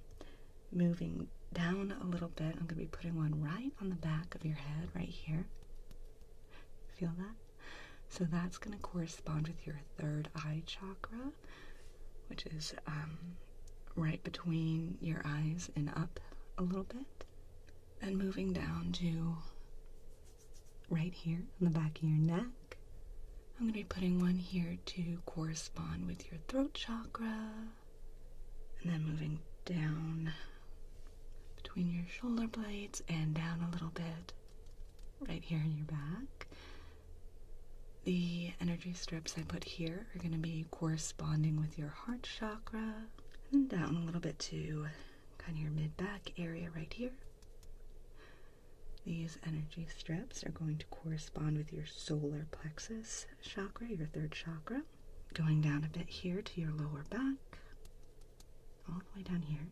A: moving down a little bit. I'm going to be putting one right on the back of your head, right here. Feel that? So that's going to correspond with your third eye chakra, which is um, right between your eyes and up a little bit. And moving down to right here on the back of your neck. I'm going to be putting one here to correspond with your throat chakra. And then moving down between your shoulder blades and down a little bit right here in your back. The energy strips I put here are going to be corresponding with your heart chakra. And down a little bit to kind of your mid back area right here. The energy strips are going to correspond with your solar plexus chakra, your third chakra, going down a bit here to your lower back, all the way down here.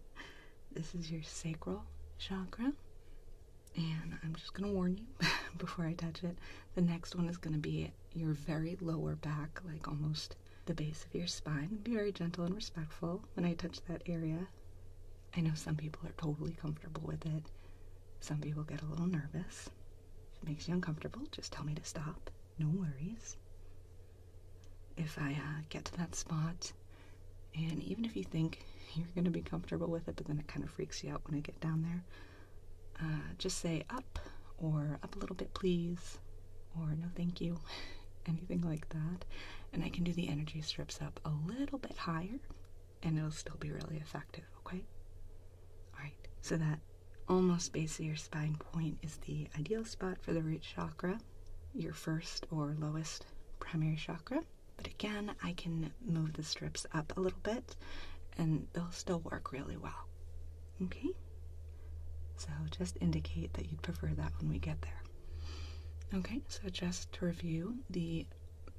A: This is your sacral chakra. And I'm just going to warn you before I touch it. The next one is going to be your very lower back, like almost the base of your spine. Be very gentle and respectful when I touch that area. I know some people are totally comfortable with it. Some people get a little nervous. If it makes you uncomfortable, just tell me to stop. No worries. If I uh, get to that spot, and even if you think you're going to be comfortable with it, but then it kind of freaks you out when I get down there, uh, just say up or up a little bit, please, or no, thank you, anything like that. And I can do the energy strips up a little bit higher and it'll still be really effective, okay? Alright, so that almost base of your spine point is the ideal spot for the root chakra, your first or lowest primary chakra. But again, I can move the strips up a little bit and they'll still work really well. Okay? So just indicate that you'd prefer that when we get there. Okay, so just to review, the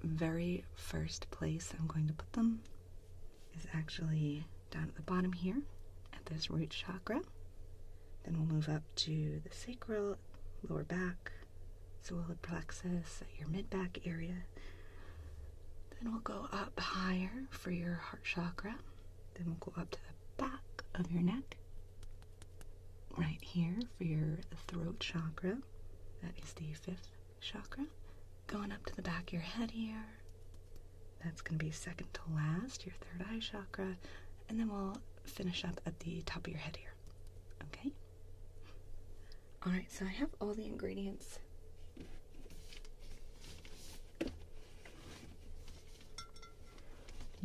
A: very first place I'm going to put them is actually down at the bottom here at this root chakra. Then we'll move up to the sacral, lower back, solar plexus, at your mid back area. Then we'll go up higher for your heart chakra. Then we'll go up to the back of your neck, right here for your throat chakra. That is the fifth chakra, going up to the back of your head here. That's going to be second to last, your third eye chakra, and then we'll finish up at the top of your head here. Okay? Alright, so I have all the ingredients.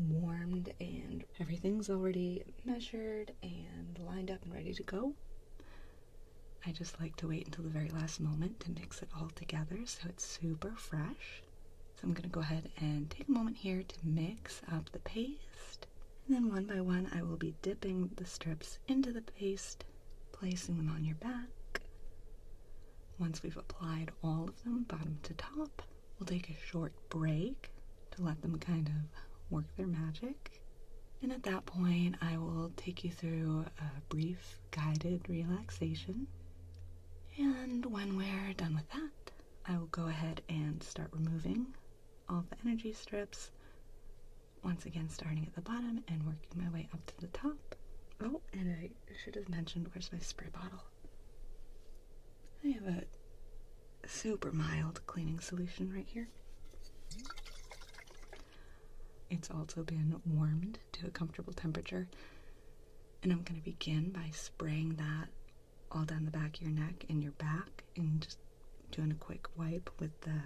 A: Warmed and everything's already measured and lined up and ready to go. I just like to wait until the very last moment to mix it all together so it's super fresh. So I'm going to go ahead and take a moment here to mix up the paste. And then one by one, I will be dipping the strips into the paste, placing them on your back. Once we've applied all of them, bottom to top, we'll take a short break to let them kind of work their magic. And at that point, I will take you through a brief guided relaxation. And when we're done with that, I will go ahead and start removing all the energy strips. Once again, starting at the bottom and working my way up to the top. Oh, and I should have mentioned where's my spray bottle. I have a super mild cleaning solution right here. It's also been warmed to a comfortable temperature. And I'm going to begin by spraying that all down the back of your neck and your back, and just doing a quick wipe with the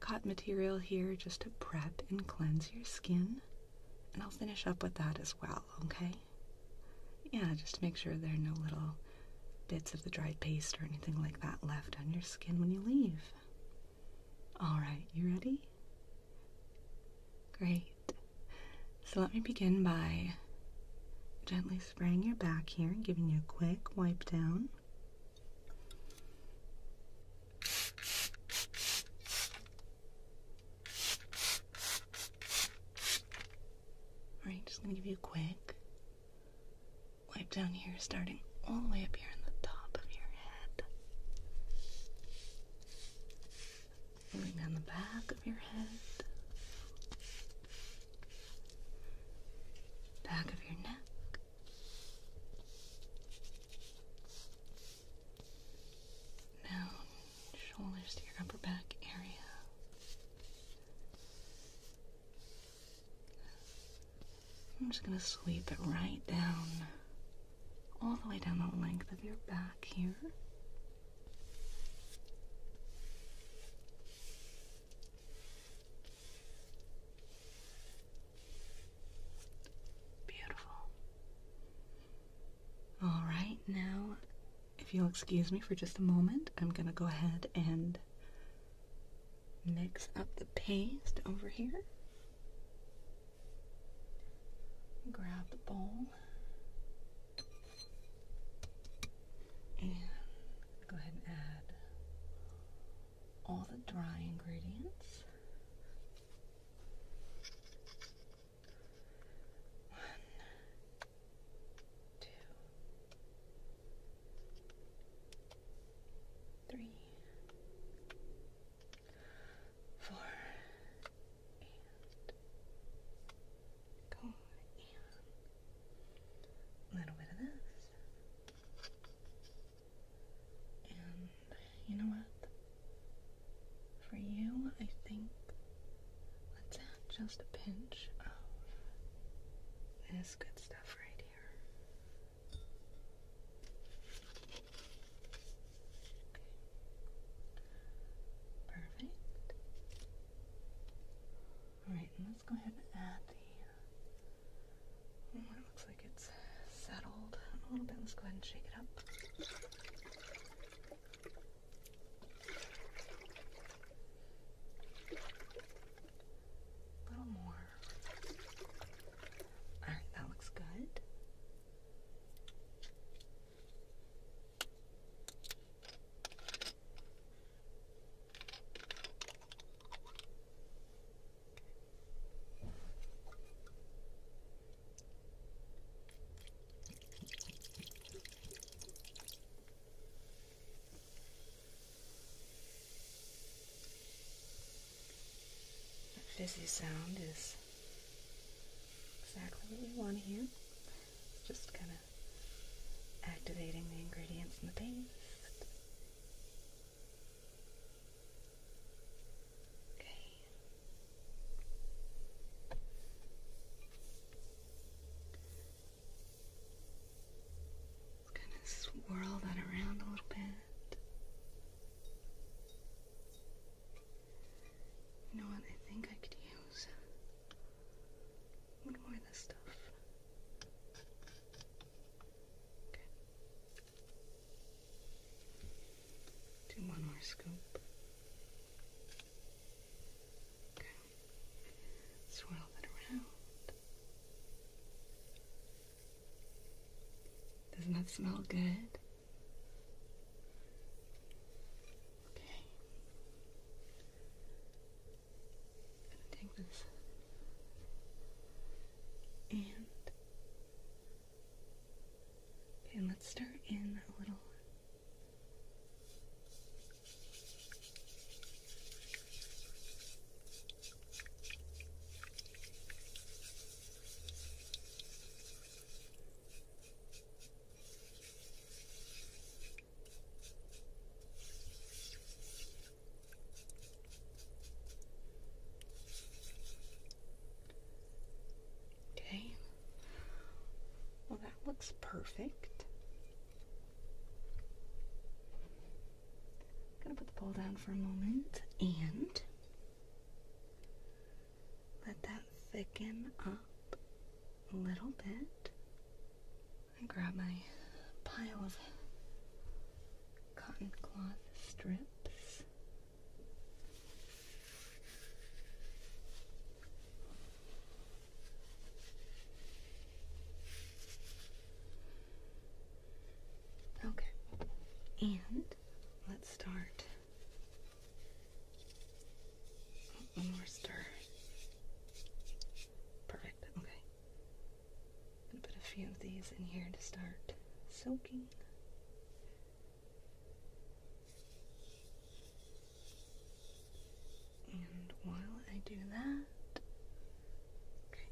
A: cotton material here just to prep and cleanse your skin. And I'll finish up with that as well, okay? Yeah, just to make sure there are no little bits of the dried paste or anything like that left on your skin when you leave. All right, you ready? Great. So let me begin by gently spraying your back here and giving you a quick wipe down. Alright, just gonna give you a quick wipe down here, starting all the way up here in the top of your head. down the back of your head, back of your neck, down shoulders to your upper back area, I'm just going to sweep it right down, all the way down the length of your back here. Beautiful. All right, now, if you'll excuse me for just a moment, I'm going to go ahead and mix up the paste over here. Grab the bowl and go ahead and add all the dry ingredients. One, two, three, four, and go and a little bit of this. And you know what? For you, I think let's add just a pinch of this good stuff right here. Perfect. Alright, let's go ahead and add the. Oh, looks like it's settled a little bit. Let's go ahead and shake it up. A little more. Alright, that looks good. That fizzy sound is exactly what we want to here. Just kind of activating the ingredients in the paste. Okay. Just kind of swirl that around a little bit. You know what? I think I could use one more of this stuff. Okay. Do one more scoop. Okay. Swirl that around. Doesn't that smell good? Okay. gonna take this and okay, let's stir in a little. Okay. Well, that looks perfect. I'm gonna put the bowl down for a moment and let that thicken up a little bit. I grab my pile of cotton cloth strips. Okay. And let's start. One more stir. Perfect. Okay. put a few of these in here to start soaking. And while I do that, okay,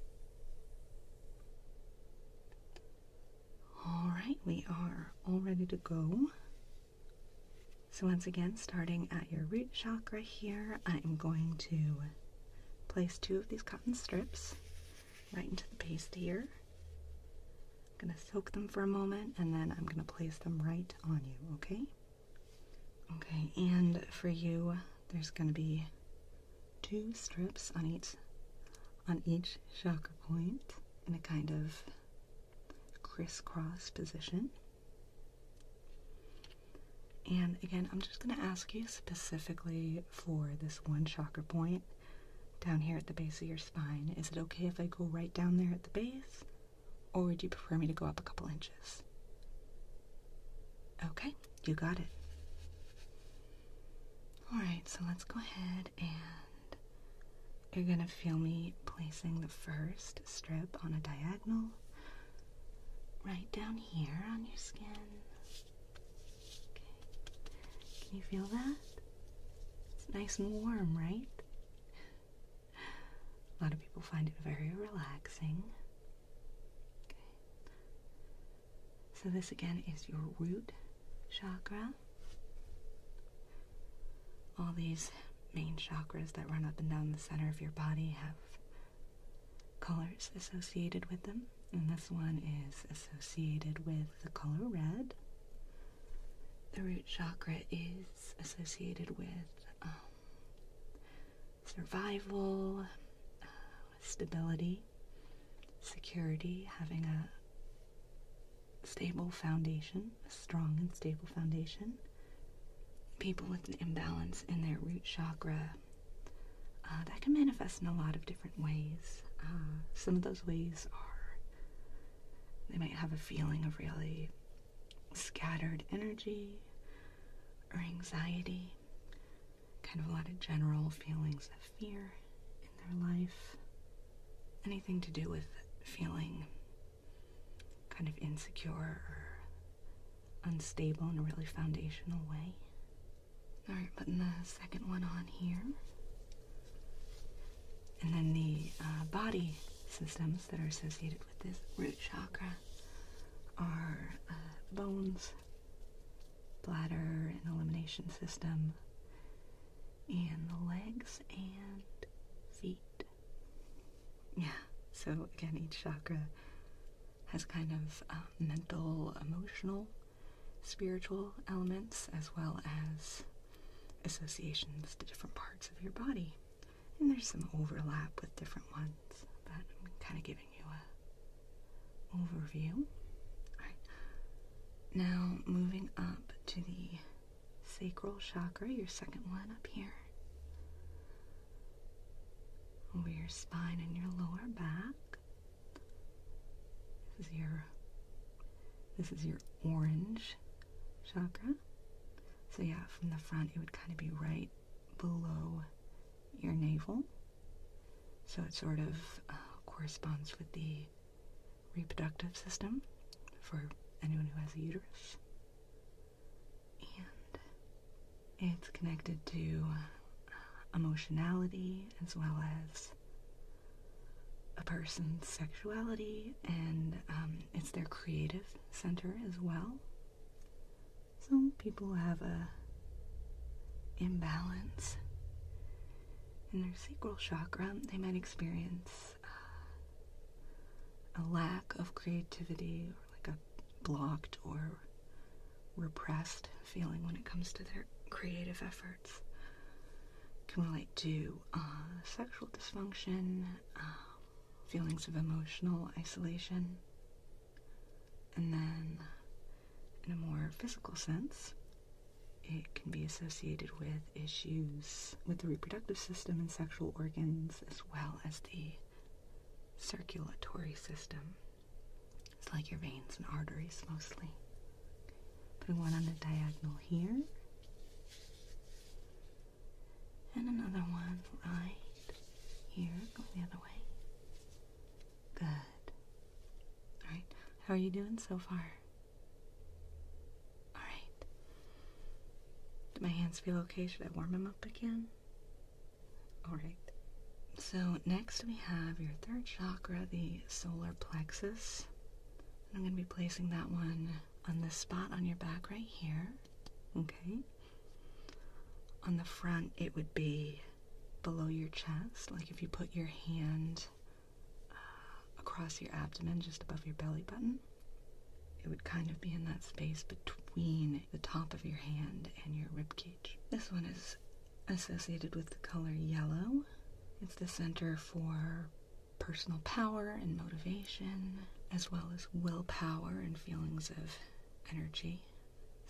A: all right, we are all ready to go. So, once again, starting at your root chakra here, I am going to place two of these cotton strips right into the paste here. I'm going to soak them for a moment and then I'm going to place them right on you, okay? Okay, and for you, there's going to be two strips on each on each chakra point in a kind of crisscross position. And again, I'm just going to ask you specifically for this one chakra point down here at the base of your spine. Is it okay if I go right down there at the base? Or would you prefer me to go up a couple inches? Okay, you got it. Alright, so let's go ahead and you're gonna feel me placing the first strip on a diagonal right down here on your skin. Can you feel that? It's nice and warm, right? A lot of people find it very relaxing. So, this again is your root chakra. All these main chakras that run up and down the center of your body have colors associated with them, and this one is associated with the color red. The root chakra is associated with um, survival, stability, security, having a stable foundation, a strong and stable foundation. People with an imbalance in their root chakra, uh, that can manifest in a lot of different ways. Uh, some of those ways are they might have a feeling of really scattered energy or anxiety kind of a lot of general feelings of fear in their life. Anything to do with feeling kind of insecure or unstable in a really foundational way. Alright, putting the second one on here. And then the uh, body systems that are associated with this root chakra are uh, bones, bladder and elimination system, and the legs and feet. Yeah, so again, each chakra has kind of um, mental, emotional, spiritual elements as well as associations to different parts of your body. And there's some overlap with different ones, but I'm kind of giving you a overview. Now, moving up to the sacral chakra, your second one up here, over your spine and your lower back. is your this is your orange chakra. So yeah, from the front, it would kind of be right below your navel. So it sort of uh, corresponds with the reproductive system for anyone who has a uterus. And it's connected to uh, emotionality as well as a person's sexuality, and um, it's their creative center as well. Some people have a imbalance in their sacral chakra, they might experience uh, a lack of creativity or like a blocked or repressed feeling when it comes to their creative efforts. Can relate to uh, sexual dysfunction, um, feelings of emotional isolation, and then, in a more physical sense, it can be associated with issues with the reproductive system and sexual organs, as well as the circulatory system. It's like your veins and arteries mostly. Putting one on the diagonal here, and another one right here. Go the other way. Good. All right. How are you doing so far? All right. my hands feel okay? Should I warm them up again? All right. So next we have your third chakra, the solar plexus. I'm going to be placing that one on this spot on your back right here. Okay. On the front, it would be below your chest, like if you put your hand uh, across your abdomen just above your belly button, it would kind of be in that space between the top of your hand and your rib cage. This one is associated with the color yellow. It's the center for personal power and motivation, as well as willpower and feelings of energy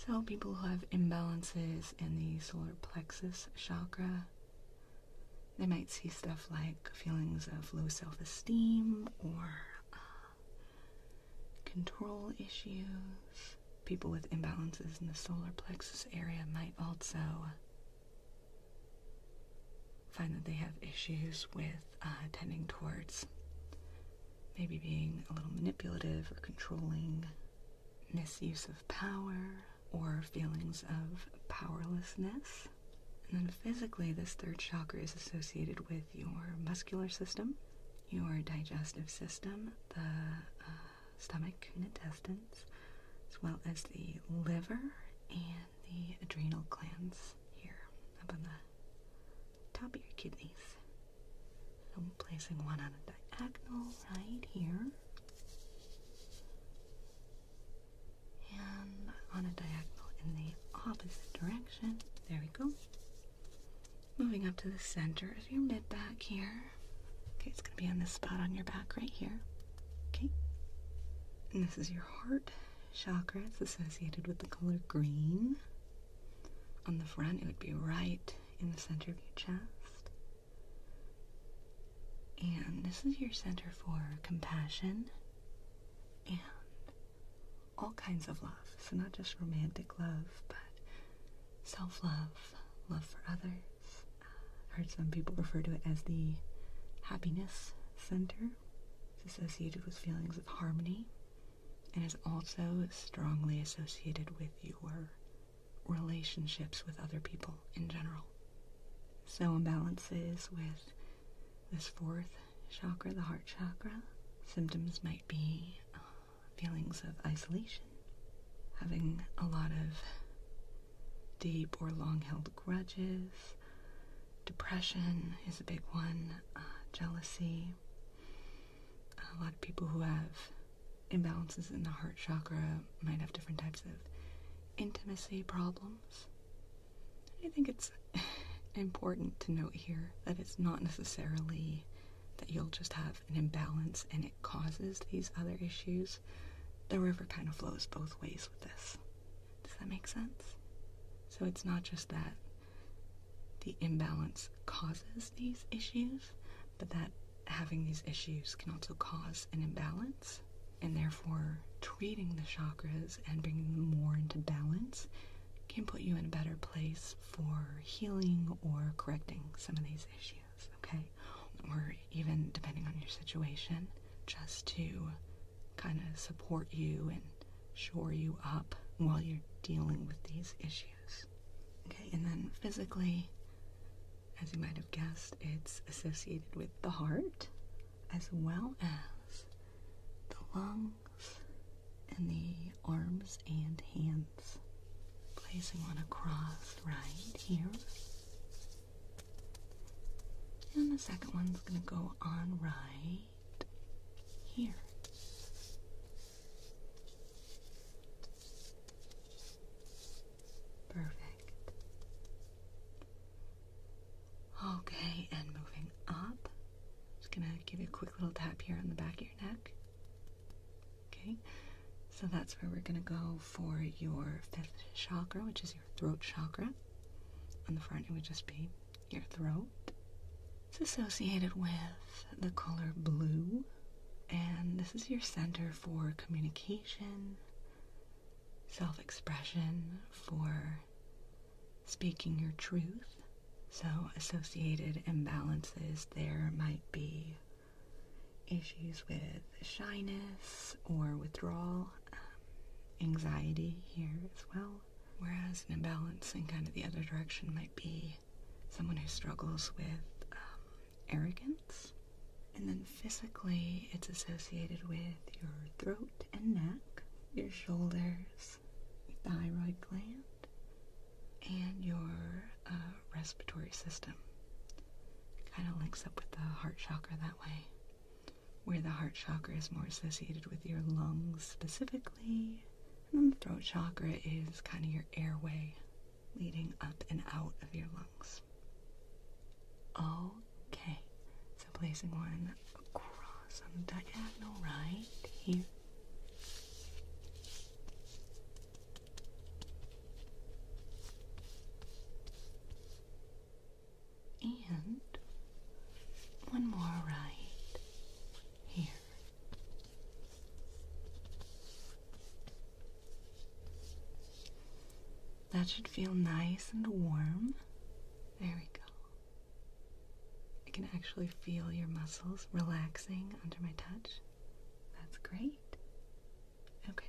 A: so, people who have imbalances in the solar plexus chakra, they might see stuff like feelings of low self esteem or uh, control issues. People with imbalances in the solar plexus area might also find that they have issues with uh, tending towards maybe being a little manipulative or controlling misuse of power or feelings of powerlessness. And then physically, this third chakra is associated with your muscular system, your digestive system, the uh, stomach and intestines, as well as the liver and the adrenal glands here up on the top of your kidneys. I'm placing one on a diagonal right here. And on a diagonal in the opposite direction. There we go. Moving up to the center of your mid back here. Okay, it's going to be on this spot on your back right here. Okay. And this is your heart chakra. It's associated with the color green. On the front, it would be right in the center of your chest. And this is your center for compassion and all kinds of love. So, not just romantic love, but self love, love for others. Uh, I've heard some people refer to it as the happiness center. It's associated with feelings of harmony and is also strongly associated with your relationships with other people in general. So imbalances with this fourth chakra, the heart chakra, symptoms might be uh, feelings of isolation, having a lot of deep or long-held grudges, depression is a big one, uh, jealousy, a lot of people who have imbalances in the heart chakra might have different types of intimacy problems. I think it's important to note here that it's not necessarily that you'll just have an imbalance and it causes these other issues. The river kind of flows both ways with this. Does that make sense? So it's not just that the imbalance causes these issues, but that having these issues can also cause an imbalance, and therefore treating the chakras and bringing them more into balance can put you in a better place for healing or correcting some of these issues, okay? Or even depending on your situation, just to kind of support you and shore you up while you're dealing with these issues. Okay, and then physically, as you might have guessed, it's associated with the heart as well as the lungs and the arms and hands. Placing on a cross right here. And the second one's going to go on right here. Perfect. Okay, and moving up. Just gonna give you a quick little tap here on the back of your neck. Okay, so that's where we're gonna go for your fifth chakra, which is your throat chakra. On the front, it would just be your throat. It's associated with the color blue, and this is your center for communication, self expression, for speaking your truth. So, associated imbalances there might be issues with shyness or withdrawal, um, anxiety here as well. Whereas an imbalance in kind of the other direction might be someone who struggles with um, arrogance. And then physically, it's associated with your throat and neck, your shoulders, your thyroid gland, and your uh, respiratory system. Kind of links up with the heart chakra that way, where the heart chakra is more associated with your lungs specifically, and then the throat chakra is kind of your airway leading up and out of your lungs. Okay, so placing one across on the diagonal right here. And one more right here. That should feel nice and warm. There we go. I can actually feel your muscles relaxing under my touch. That's great. Okay.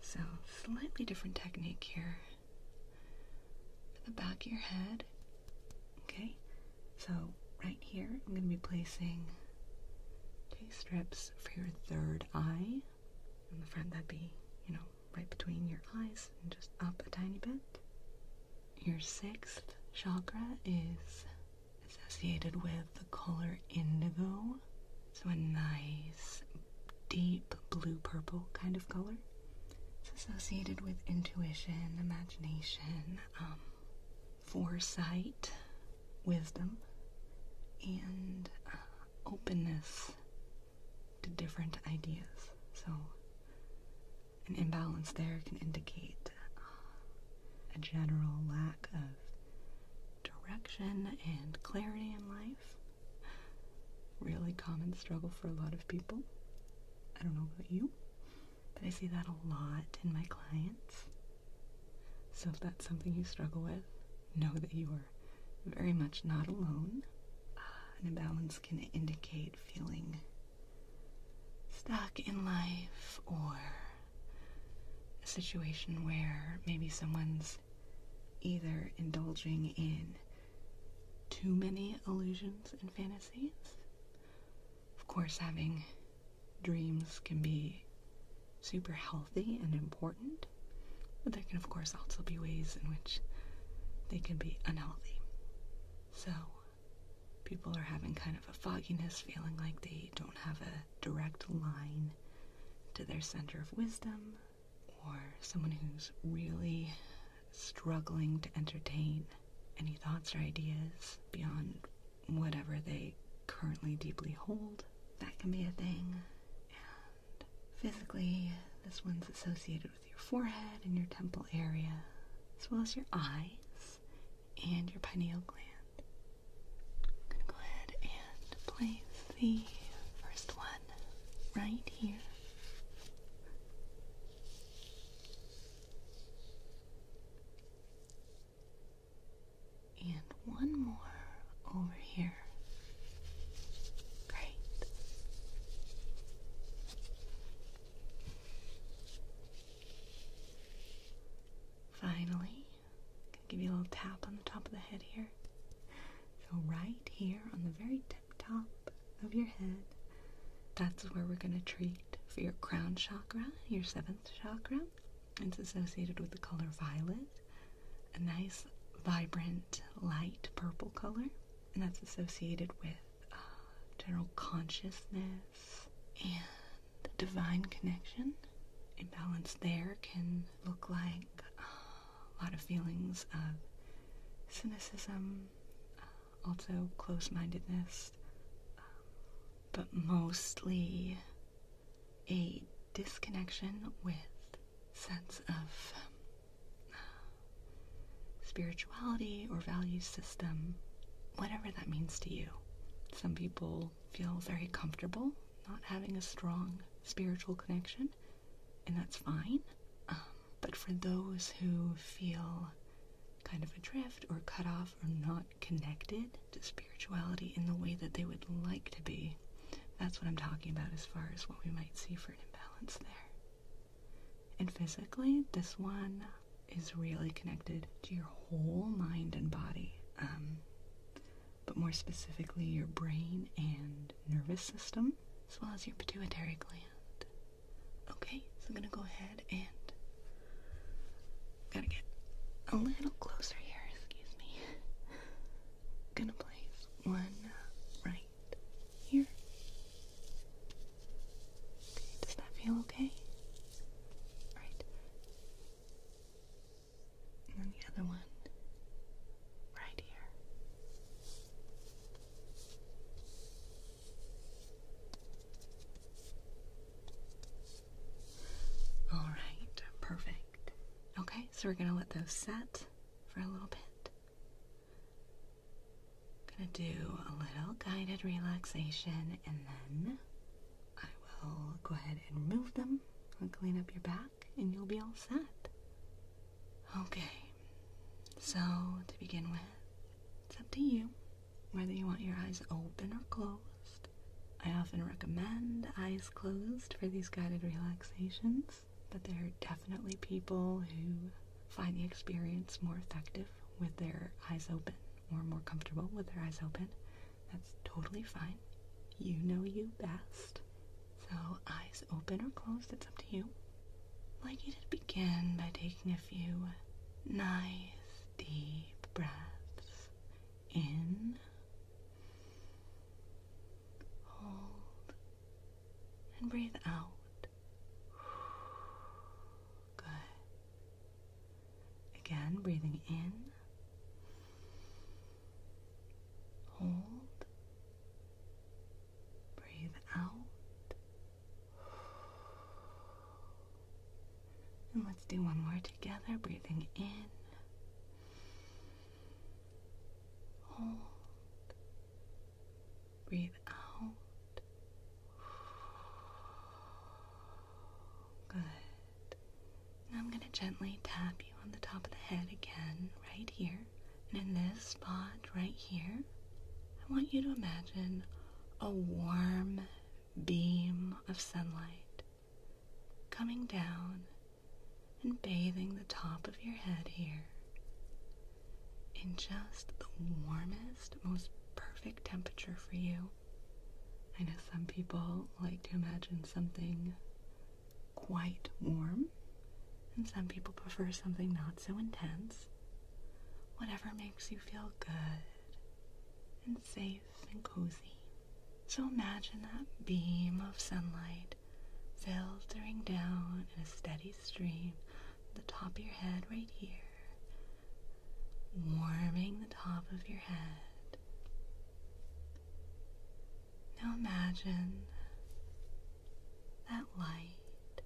A: So, slightly different technique here. the back of your head. Okay. So, right here, I'm going to be placing two strips for your third eye. In the front, that'd be, you know, right between your eyes and just up a tiny bit. Your sixth chakra is associated with the color indigo, so a nice, deep blue purple kind of color. It's associated with intuition, imagination, um, foresight, wisdom, and uh, openness to different ideas. So, an imbalance there can indicate uh, a general lack of direction and clarity in life. Really common struggle for a lot of people. I don't know about you, but I see that a lot in my clients. So if that's something you struggle with, know that you are very much not alone. Uh, an imbalance can indicate feeling stuck in life or a situation where maybe someone's either indulging in too many illusions and fantasies. Of course, having dreams can be super healthy and important, but there can, of course, also be ways in which they can be unhealthy. So, people are having kind of a fogginess, feeling like they don't have a direct line to their center of wisdom, or someone who's really struggling to entertain any thoughts or ideas beyond whatever they currently deeply hold. That can be a thing. And physically, this one's associated with your forehead and your temple area, as well as your eyes and your pineal gland. I'm going to go ahead and place the first one right here. And one more over here. Great. Finally, give you a little tap on the top of the head here. So right here on the very top of your head, that's where we're going to treat for your crown chakra, your seventh chakra, it's associated with the color violet, a nice, vibrant, light purple color, and that's associated with uh, general consciousness and the divine connection. Imbalance there can look like uh, a lot of feelings of cynicism, uh, also close mindedness, um, but mostly a disconnection with sense of um, uh, spirituality or value system, whatever that means to you. Some people feel very comfortable not having a strong spiritual connection, and that's fine. Um, but for those who feel kind of adrift or cut off or not connected to spirituality in the way that they would like to be. That's what I'm talking about as far as what we might see for an imbalance there. And physically, this one is really connected to your whole mind and body, um, but more specifically, your brain and nervous system, as well as your pituitary gland. Okay, so I'm gonna go ahead and Gotta get a little closer here, excuse me. Gonna place one right here. Okay, does that feel okay? Right. And then the other one right here. All right, perfect. Okay, so we're gonna let those set for a little bit. I'm gonna do a little guided relaxation and then I will go ahead and remove them and clean up your back and you'll be all set. Okay, so to begin with, it's up to you whether you want your eyes open or closed. I often recommend eyes closed for these guided relaxations, but there are definitely people who find the experience more effective with their eyes open or more comfortable with their eyes open. That's totally fine. You know you best. So, eyes open or closed, it's up to you. I'd like you to begin by taking a few nice deep breaths in, hold, and breathe out. Good. Again, breathing in, hold, breathe out. And let's do one more together, breathing in. Hold. Breathe out. Good. Now I'm going to gently tap you on the top of the head again, right here. And in this spot right here, I want you to imagine a warm beam of sunlight coming down and bathing the top of your head here in just the warmest, most perfect temperature for you. I know some people like to imagine something quite warm, and some people prefer something not so intense. Whatever makes you feel good and safe and cozy. So imagine that beam of sunlight filtering down in a steady stream the top of your head right here, warming the top of your head. Now imagine that light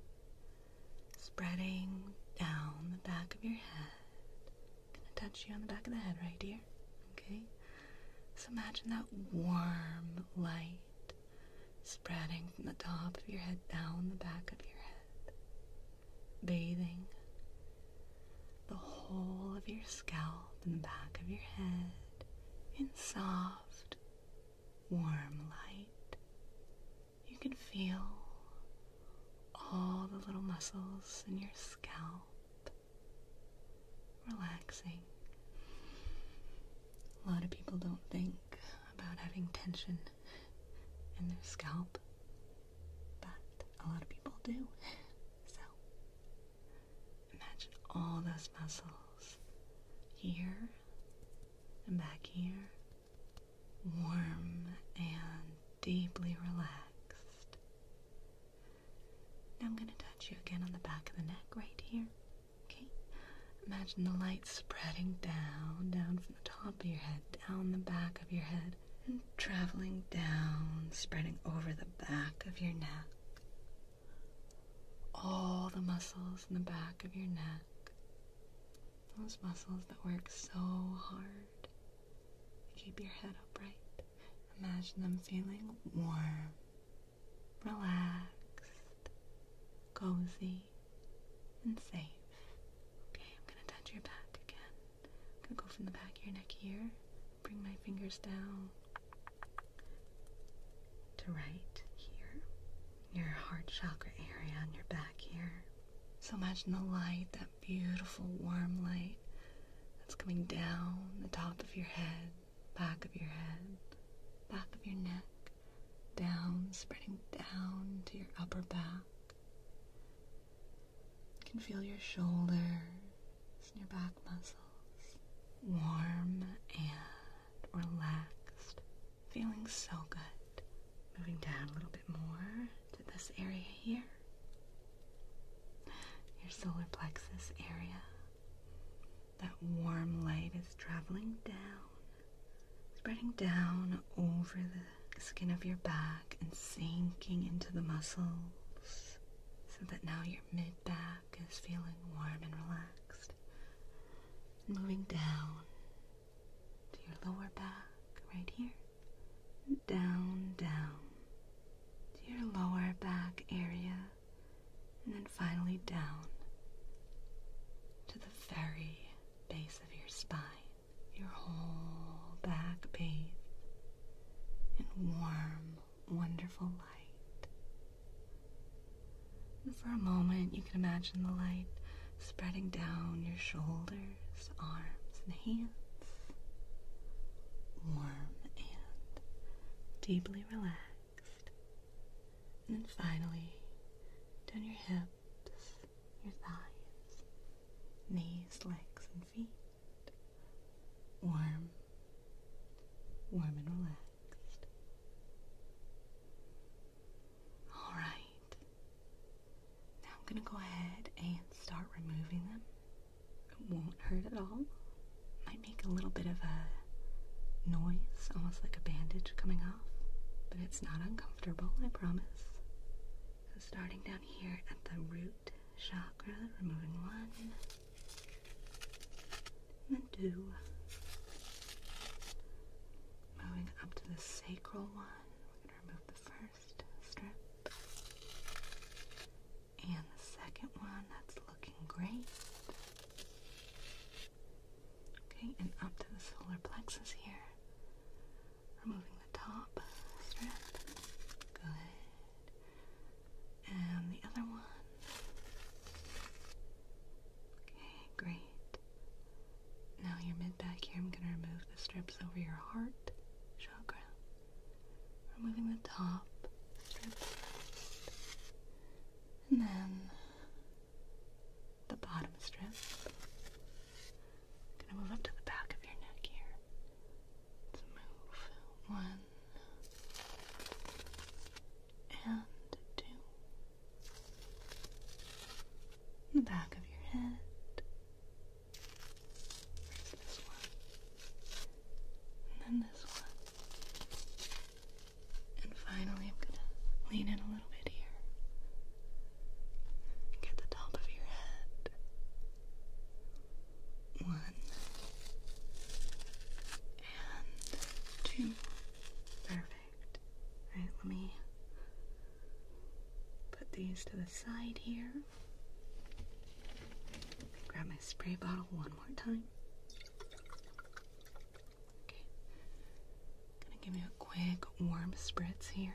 A: spreading down the back of your head Gonna touch you on the back of the head right here. Okay? So imagine that warm light spreading from the top of your head down the back of your head, bathing the whole of your scalp and the back of your head in soft, warm light. You can feel all the little muscles in your scalp relaxing. A lot of people don't think about having tension in their scalp, but a lot of people do. So imagine all those muscles here and back here warm and deeply relaxed. Now I'm going to touch you again on the back of the neck right here. Okay? Imagine the light spreading down, down from the top of your head, down the back of your head, and traveling down, spreading over the back of your neck. All the muscles in the back of your neck. Those muscles that work so hard to keep your head upright. Imagine them feeling warm, relaxed, cozy, and safe. Okay, I'm gonna touch your back again. I'm gonna go from the back of your neck here, bring my fingers down to right here, your heart chakra area on your back here. So imagine the light, that beautiful warm light that's coming down the top of your head, back of your head, back of your neck, down, spreading down to your upper back. You can feel your shoulders your back muscles warm and relaxed, feeling so good. Moving down a little bit more to this area here your solar plexus area. That warm light is traveling down, spreading down over the skin of your back and sinking into the muscles so that now your mid back is feeling warm and relaxed. Moving down to your lower back right here. Down, down to your lower back area, and then finally down to the very base of your spine, your whole back bathed in warm, wonderful light. for a moment, you can imagine the light spreading down your shoulders, arms, and hands, warm and deeply relaxed. And then finally, down your hips, your thighs, knees, legs, and feet. Warm, warm and relaxed. All right. Now I'm going to go ahead and start removing them it won't hurt at all. Might make a little bit of a noise, almost like a bandage coming off, but it's not uncomfortable, I promise. So starting down here at the root chakra, removing one, and then two, moving up to the sacral one, we're going to remove the first strap. And the second one, that's looking great. Okay, and up to the solar plexus here. Removing the top strip. Good. And the other one. Okay, great. Now your mid back here, I'm going to remove the strips over your heart chakra removing the top and then the bottom strip. gonna move up to the back of your neck here. move one and two. The back of your head. First this one. And then this one. And finally, I'm gonna lean in a little bit here. Get the top of your head. One. And two. Perfect. Alright, let me put these to the side here. Grab my spray bottle one more time. Gonna give you a quick warm spritz here.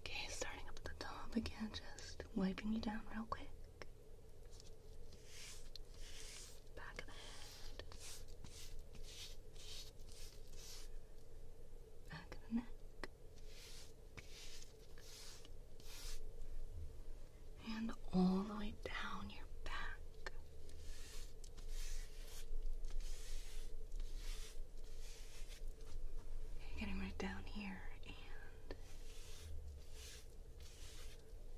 A: Okay, starting up the top again, just wiping you down real quick. Back of the head back of the neck, and all the way down your back. getting right down here, and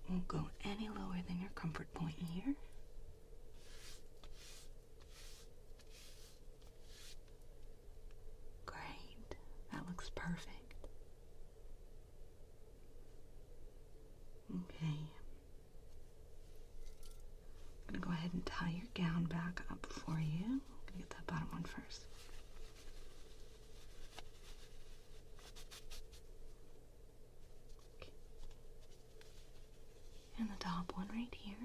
A: won't go any lower than your comfort point here. Great, that looks perfect. Okay. I'm gonna go ahead and tie your gown back up for you. get that bottom one first. And the top one right here.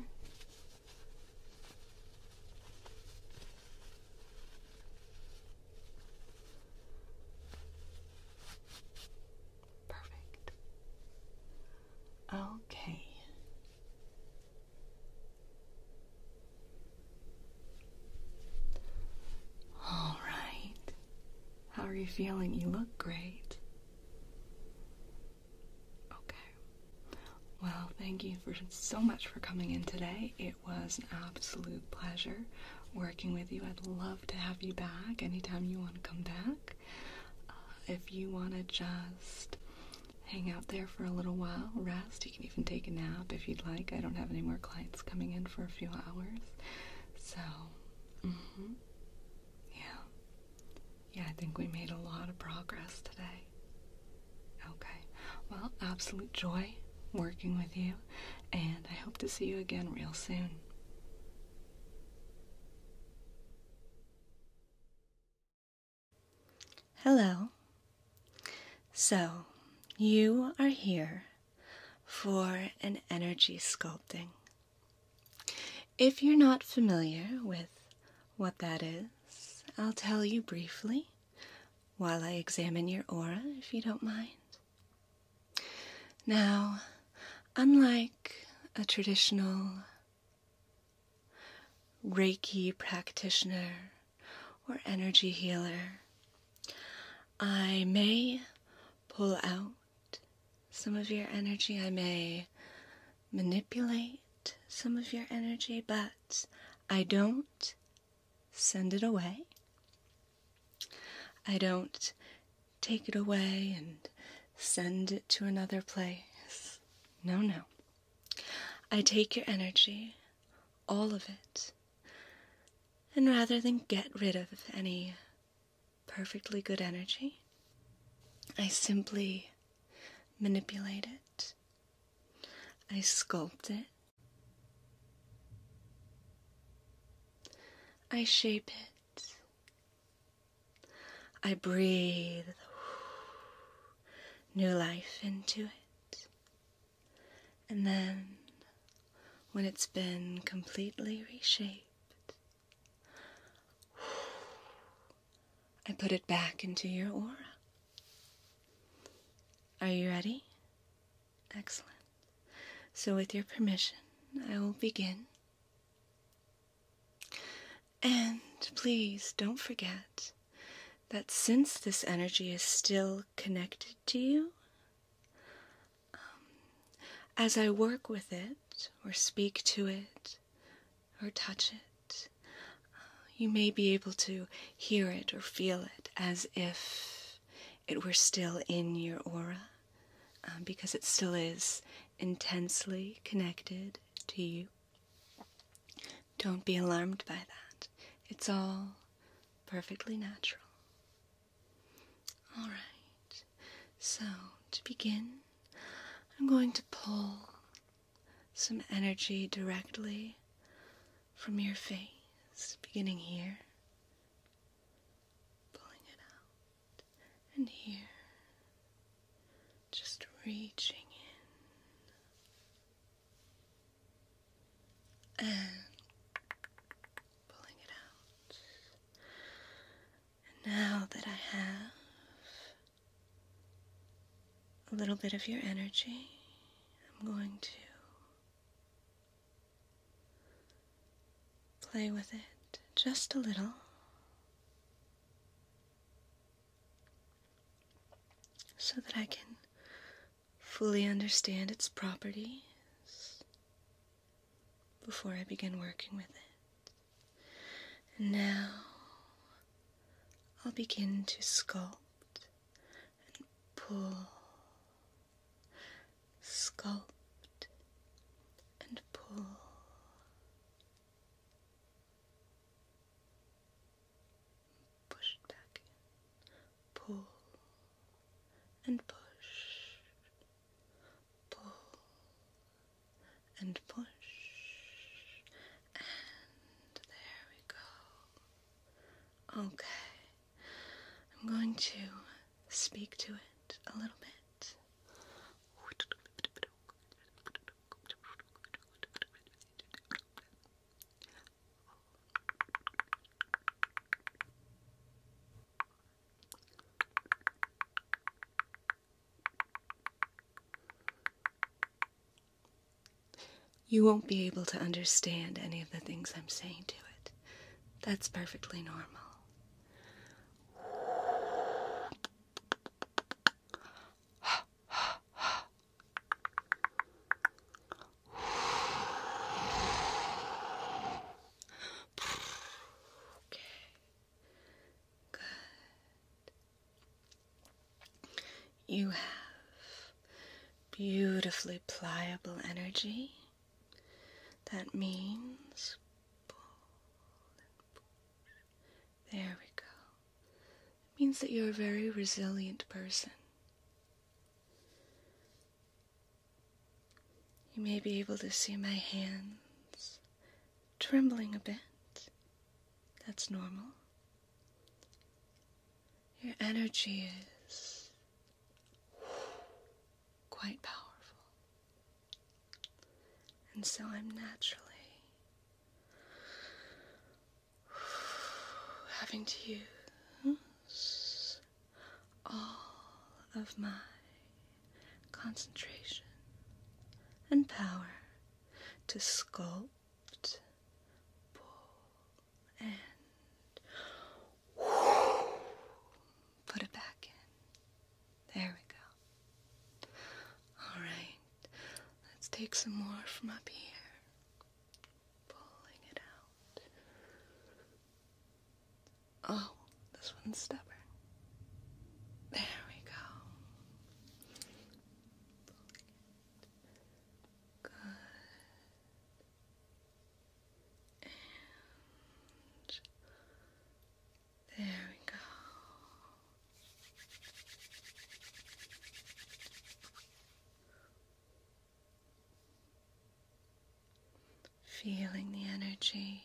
A: Perfect. Okay. All right. How are you feeling? You look great. Okay. Well, thank you so much for coming in today. It was an absolute pleasure working with you. I'd love to have you back anytime you want to come back. Uh, if you want to just hang out there for a little while, rest, you can even take a nap if you'd like. I don't have any more clients coming in for a few hours. So, mm-hmm. Yeah. Yeah, I think we made a lot of progress today. Okay. Well, absolute joy working with you, and I hope to see you again real soon. Hello. So, you are here for an energy sculpting. If you're not familiar with what that is, I'll tell you briefly while I examine your aura, if you don't mind. Now, unlike a traditional Reiki practitioner or energy healer, I may pull out some of your energy. I may manipulate some of your energy, but I don't send it away. I don't take it away and send it to another place. No, no. I take your energy, all of it, and rather than get rid of any perfectly good energy, I simply manipulate it, I sculpt it, I shape it, I breathe new life into it, and then when it's been completely reshaped, I put it back into your aura. Are you ready? Excellent. So, with your permission, I will begin. And please don't forget that since this energy is still connected to you, um, as I work with it or speak to it, or touch it. Uh, you may be able to hear it or feel it as if it were still in your aura um, because it still is intensely connected to you. Don't be alarmed by that. It's all perfectly natural. All right, so to begin, I'm going to pull some energy directly from your face, beginning here, pulling it out, and here, just reaching in. And pulling it out. now that I have a little bit of your energy. I'm going to play with it just a little. So that I can fully understand its properties before I begin working with it. And now I'll begin to sculpt and pull, sculpt and pull. Push back pull and push, pull and push, and there we go. Okay, I'm going to speak to it a little bit. You won't be able to understand any of the things I'm saying to it. That's perfectly normal. Okay. Good. You have beautifully pliable energy. That means There we go. means that you're a very resilient person. You may be able to see my hands trembling a bit. That's normal. Your energy is quite powerful. And so I'm naturally having to use all of my concentration and power to sculpt pull, and put it back in. There we go. All right, let's take some more from up here. Pulling it out. Oh, this one's stubborn. There we go. And there we go. Feeling the energy,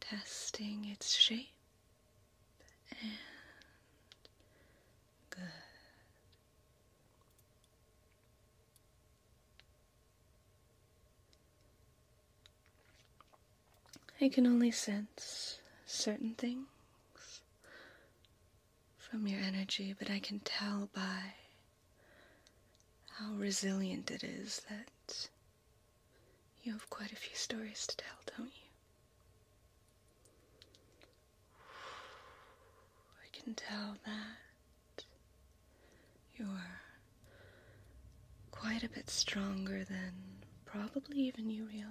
A: testing its shape and good. I can only sense certain things from your energy, but I can tell by how resilient it is that you have quite a few stories to tell, don't you? I can tell that you're quite a bit stronger than probably even you realize.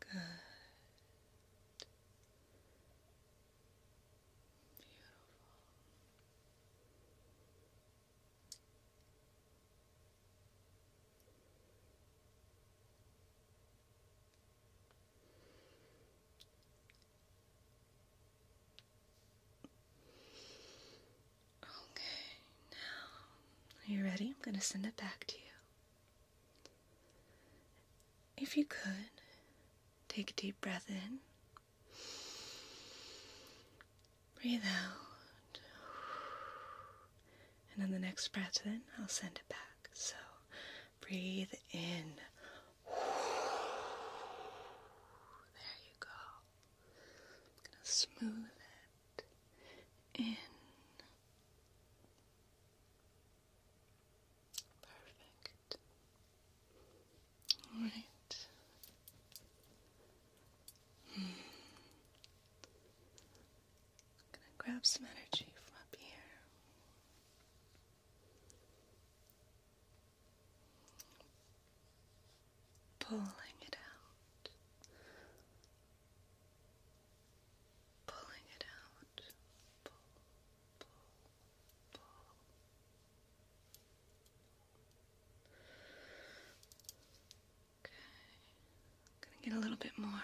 A: Good. Beautiful. Okay, now are you ready? I'm going to send it back to you. If you could, take a deep breath in, breathe out, and then the next breath in, I'll send it back. So breathe in. There you go. I'm going to smooth it in. Perfect. All right. gonna grab some energy from up here. Pulling it out pulling it out. Pull, pull, Okay, gonna get a little bit more.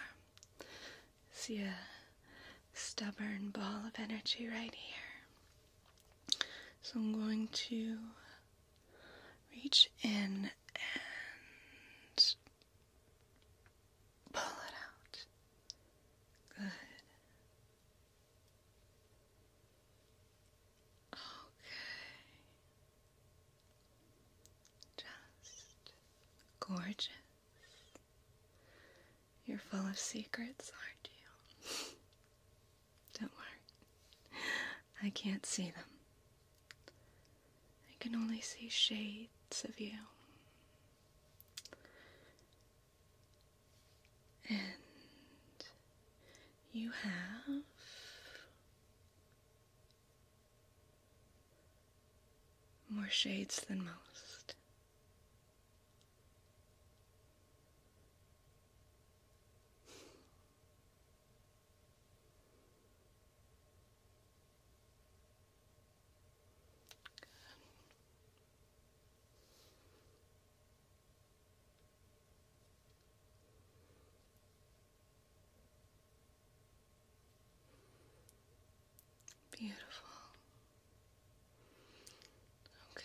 A: See a stubborn ball of energy right here. So I'm going to reach in and Pull it out. Good. Okay. Just gorgeous. You're full of secrets, aren't you? Don't worry. I can't see them. I can only see shades of you. And you have more shades than most. Beautiful. Okay.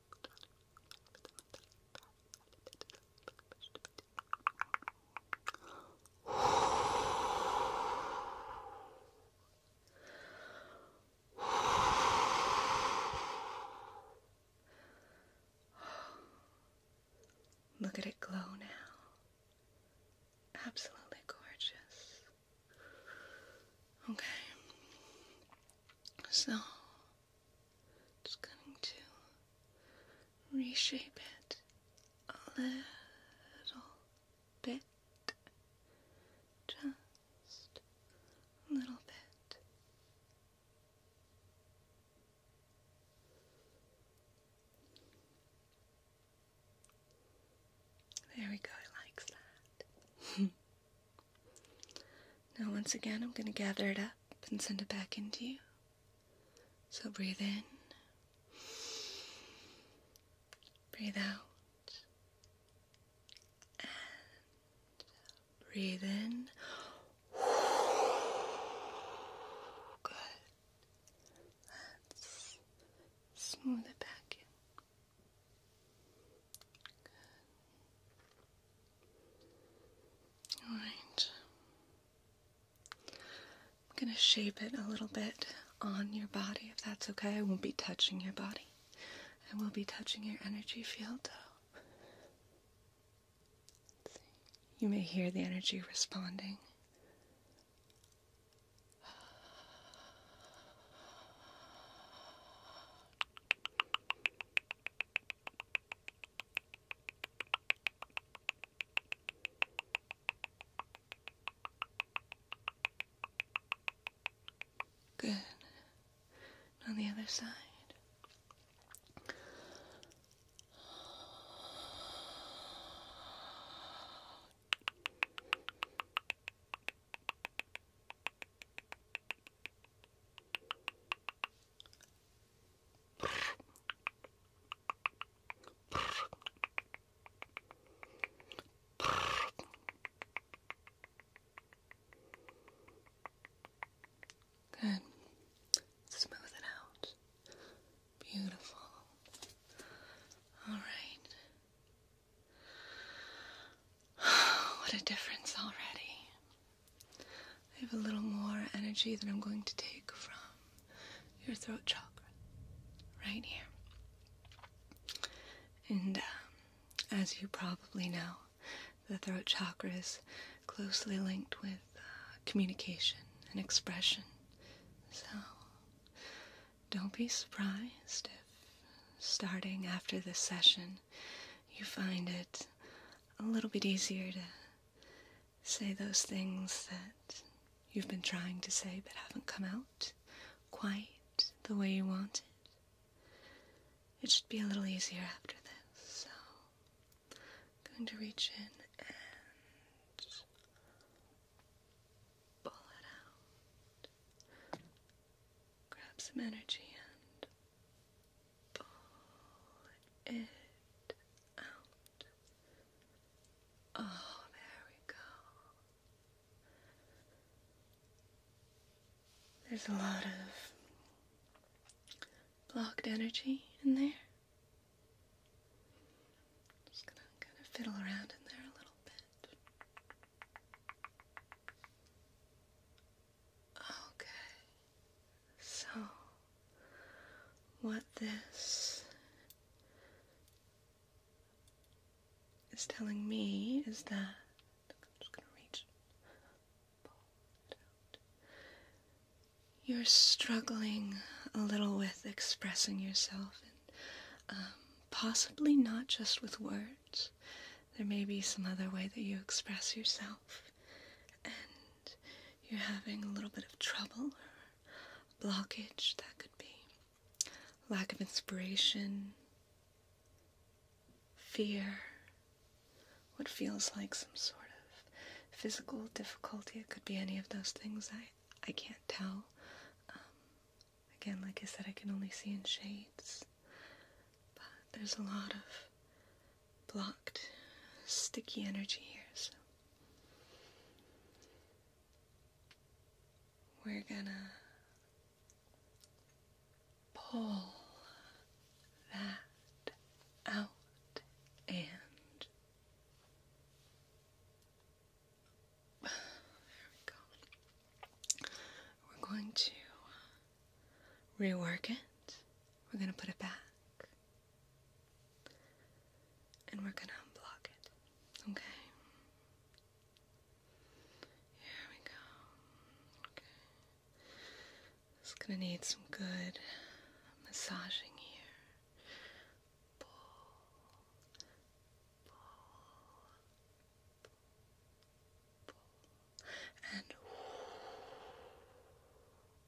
A: Look at it glow now. Absolutely gorgeous. Okay. So, just going to reshape it a little bit, just a little bit. There we go, it likes that. Now, once again, I'm going to gather it up and send it back into you. So breathe in, breathe out, and breathe in. Good. Let's smooth it back in. All right. I'm going to shape it a little bit on your body if that's okay. I won't be touching your body. I will be touching your energy field though. You may hear the energy responding. Good. And on the other side. Good. Smooth it out. Beautiful. All right. what a difference already. I have a little more energy that I'm going to take from your throat chakra right here. And um, as you probably know, the throat chakra is closely linked with uh, communication and expression. So don't be surprised if, starting after this session, you find it a little bit easier to say those things that you've been trying to say but haven't come out quite the way you wanted. It should be a little easier after this, so going to reach in and pull it out grab some energy and pull it out. Oh, there we go. There's a lot of blocked energy in there. just gonna kind of fiddle around in there a little bit. Okay, so what this is telling me is that You're struggling a little with expressing yourself, and um, possibly not just with words. There may be some other way that you express yourself, and you're having a little bit of trouble or blockage. That could be lack of inspiration, fear, what feels like some sort of physical difficulty. It could be any of those things. I, I can't tell. Um, again, like I said, I can only see in shades. But there's a lot of blocked, sticky energy here, so we're gonna pull that out and there we go. We're going to rework it. We're going to put it back. And we're going to unblock it. Okay? Here we go. Okay. It's going to need some good massaging here. Pull. Pull and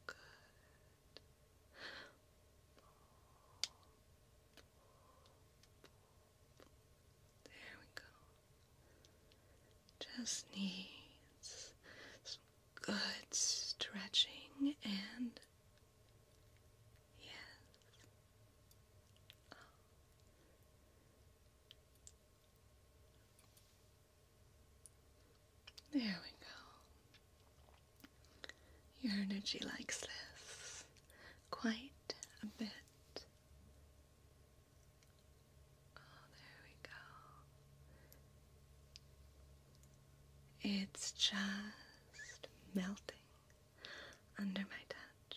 A: good. There we go. Just needs some good stretching and yes. There we go. Your energy likes this quite a bit. Oh, there we go. It's just melting under my touch.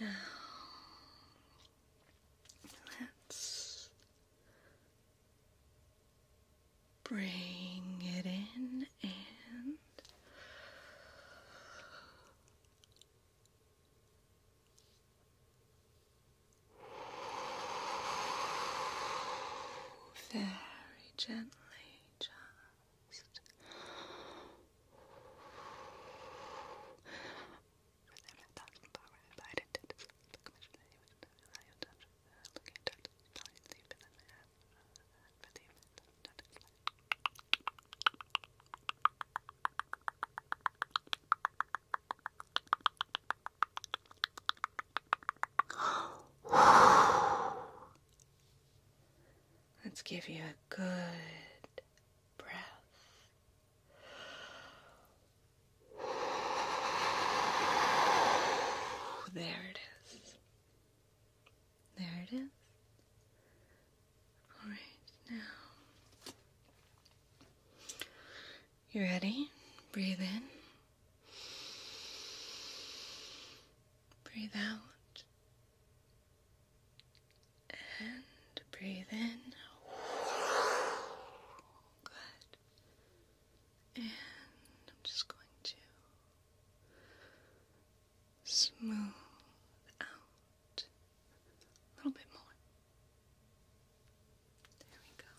A: Now let's bring it in and very gently, just Let's give you a good breath. There it is. There it is. All right, now. You ready? Breathe in. Breathe out. And breathe in. Good. And I'm just going to smooth out a little bit more. There we go.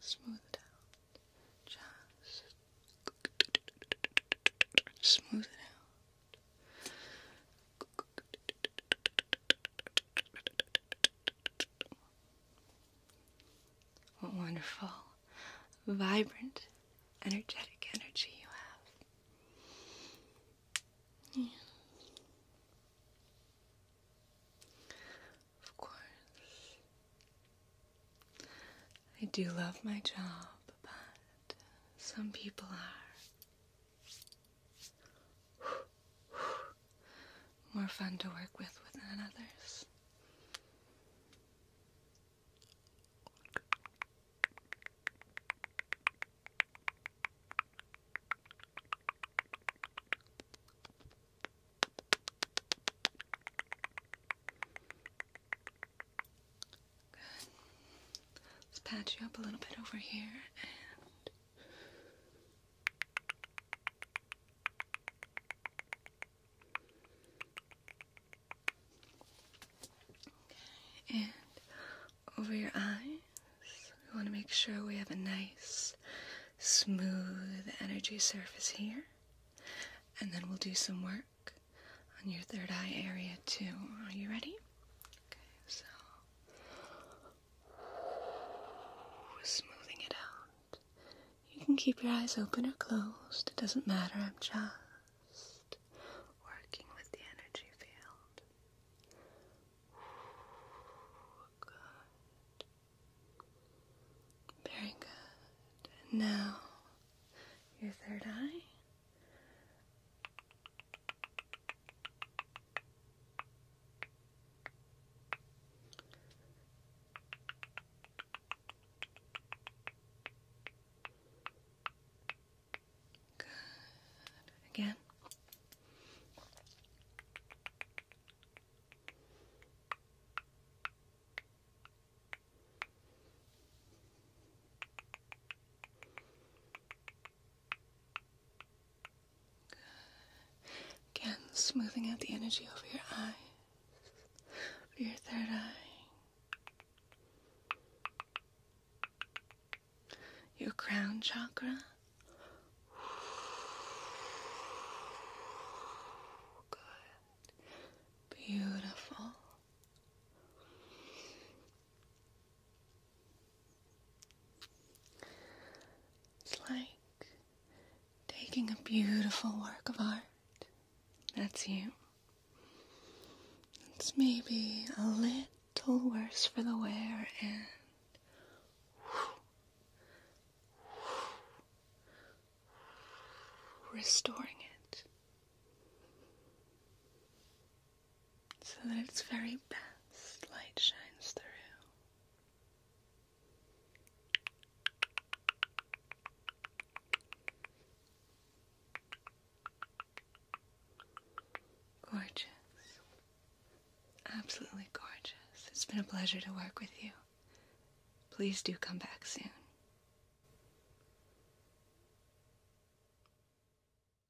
A: Smooth it out. Just smooth it out. What wonderful, vibrant, energetic energy you have. Of course. I do love my job, but some people are more fun to work with than others. Good. Let's pat you up a little bit over here and over your eyes, we want to make sure we have a nice, smooth energy surface here. And then we'll do some work on your third eye area too. Are you ready? Okay, so smoothing it out. You can keep your eyes open or closed, it doesn't matter. I'm just working with the energy field. Good. Very good. now your third eye. Good. Again. Again, smoothing out the energy over your eyes, your third eye, your crown chakra. Good. Beautiful. It's like taking a beautiful work of art. That's you. It's maybe a little worse for the wear and restoring it so that its very best light shines through. Gorgeous. Absolutely gorgeous. It's been a pleasure to work with you. Please do come back soon.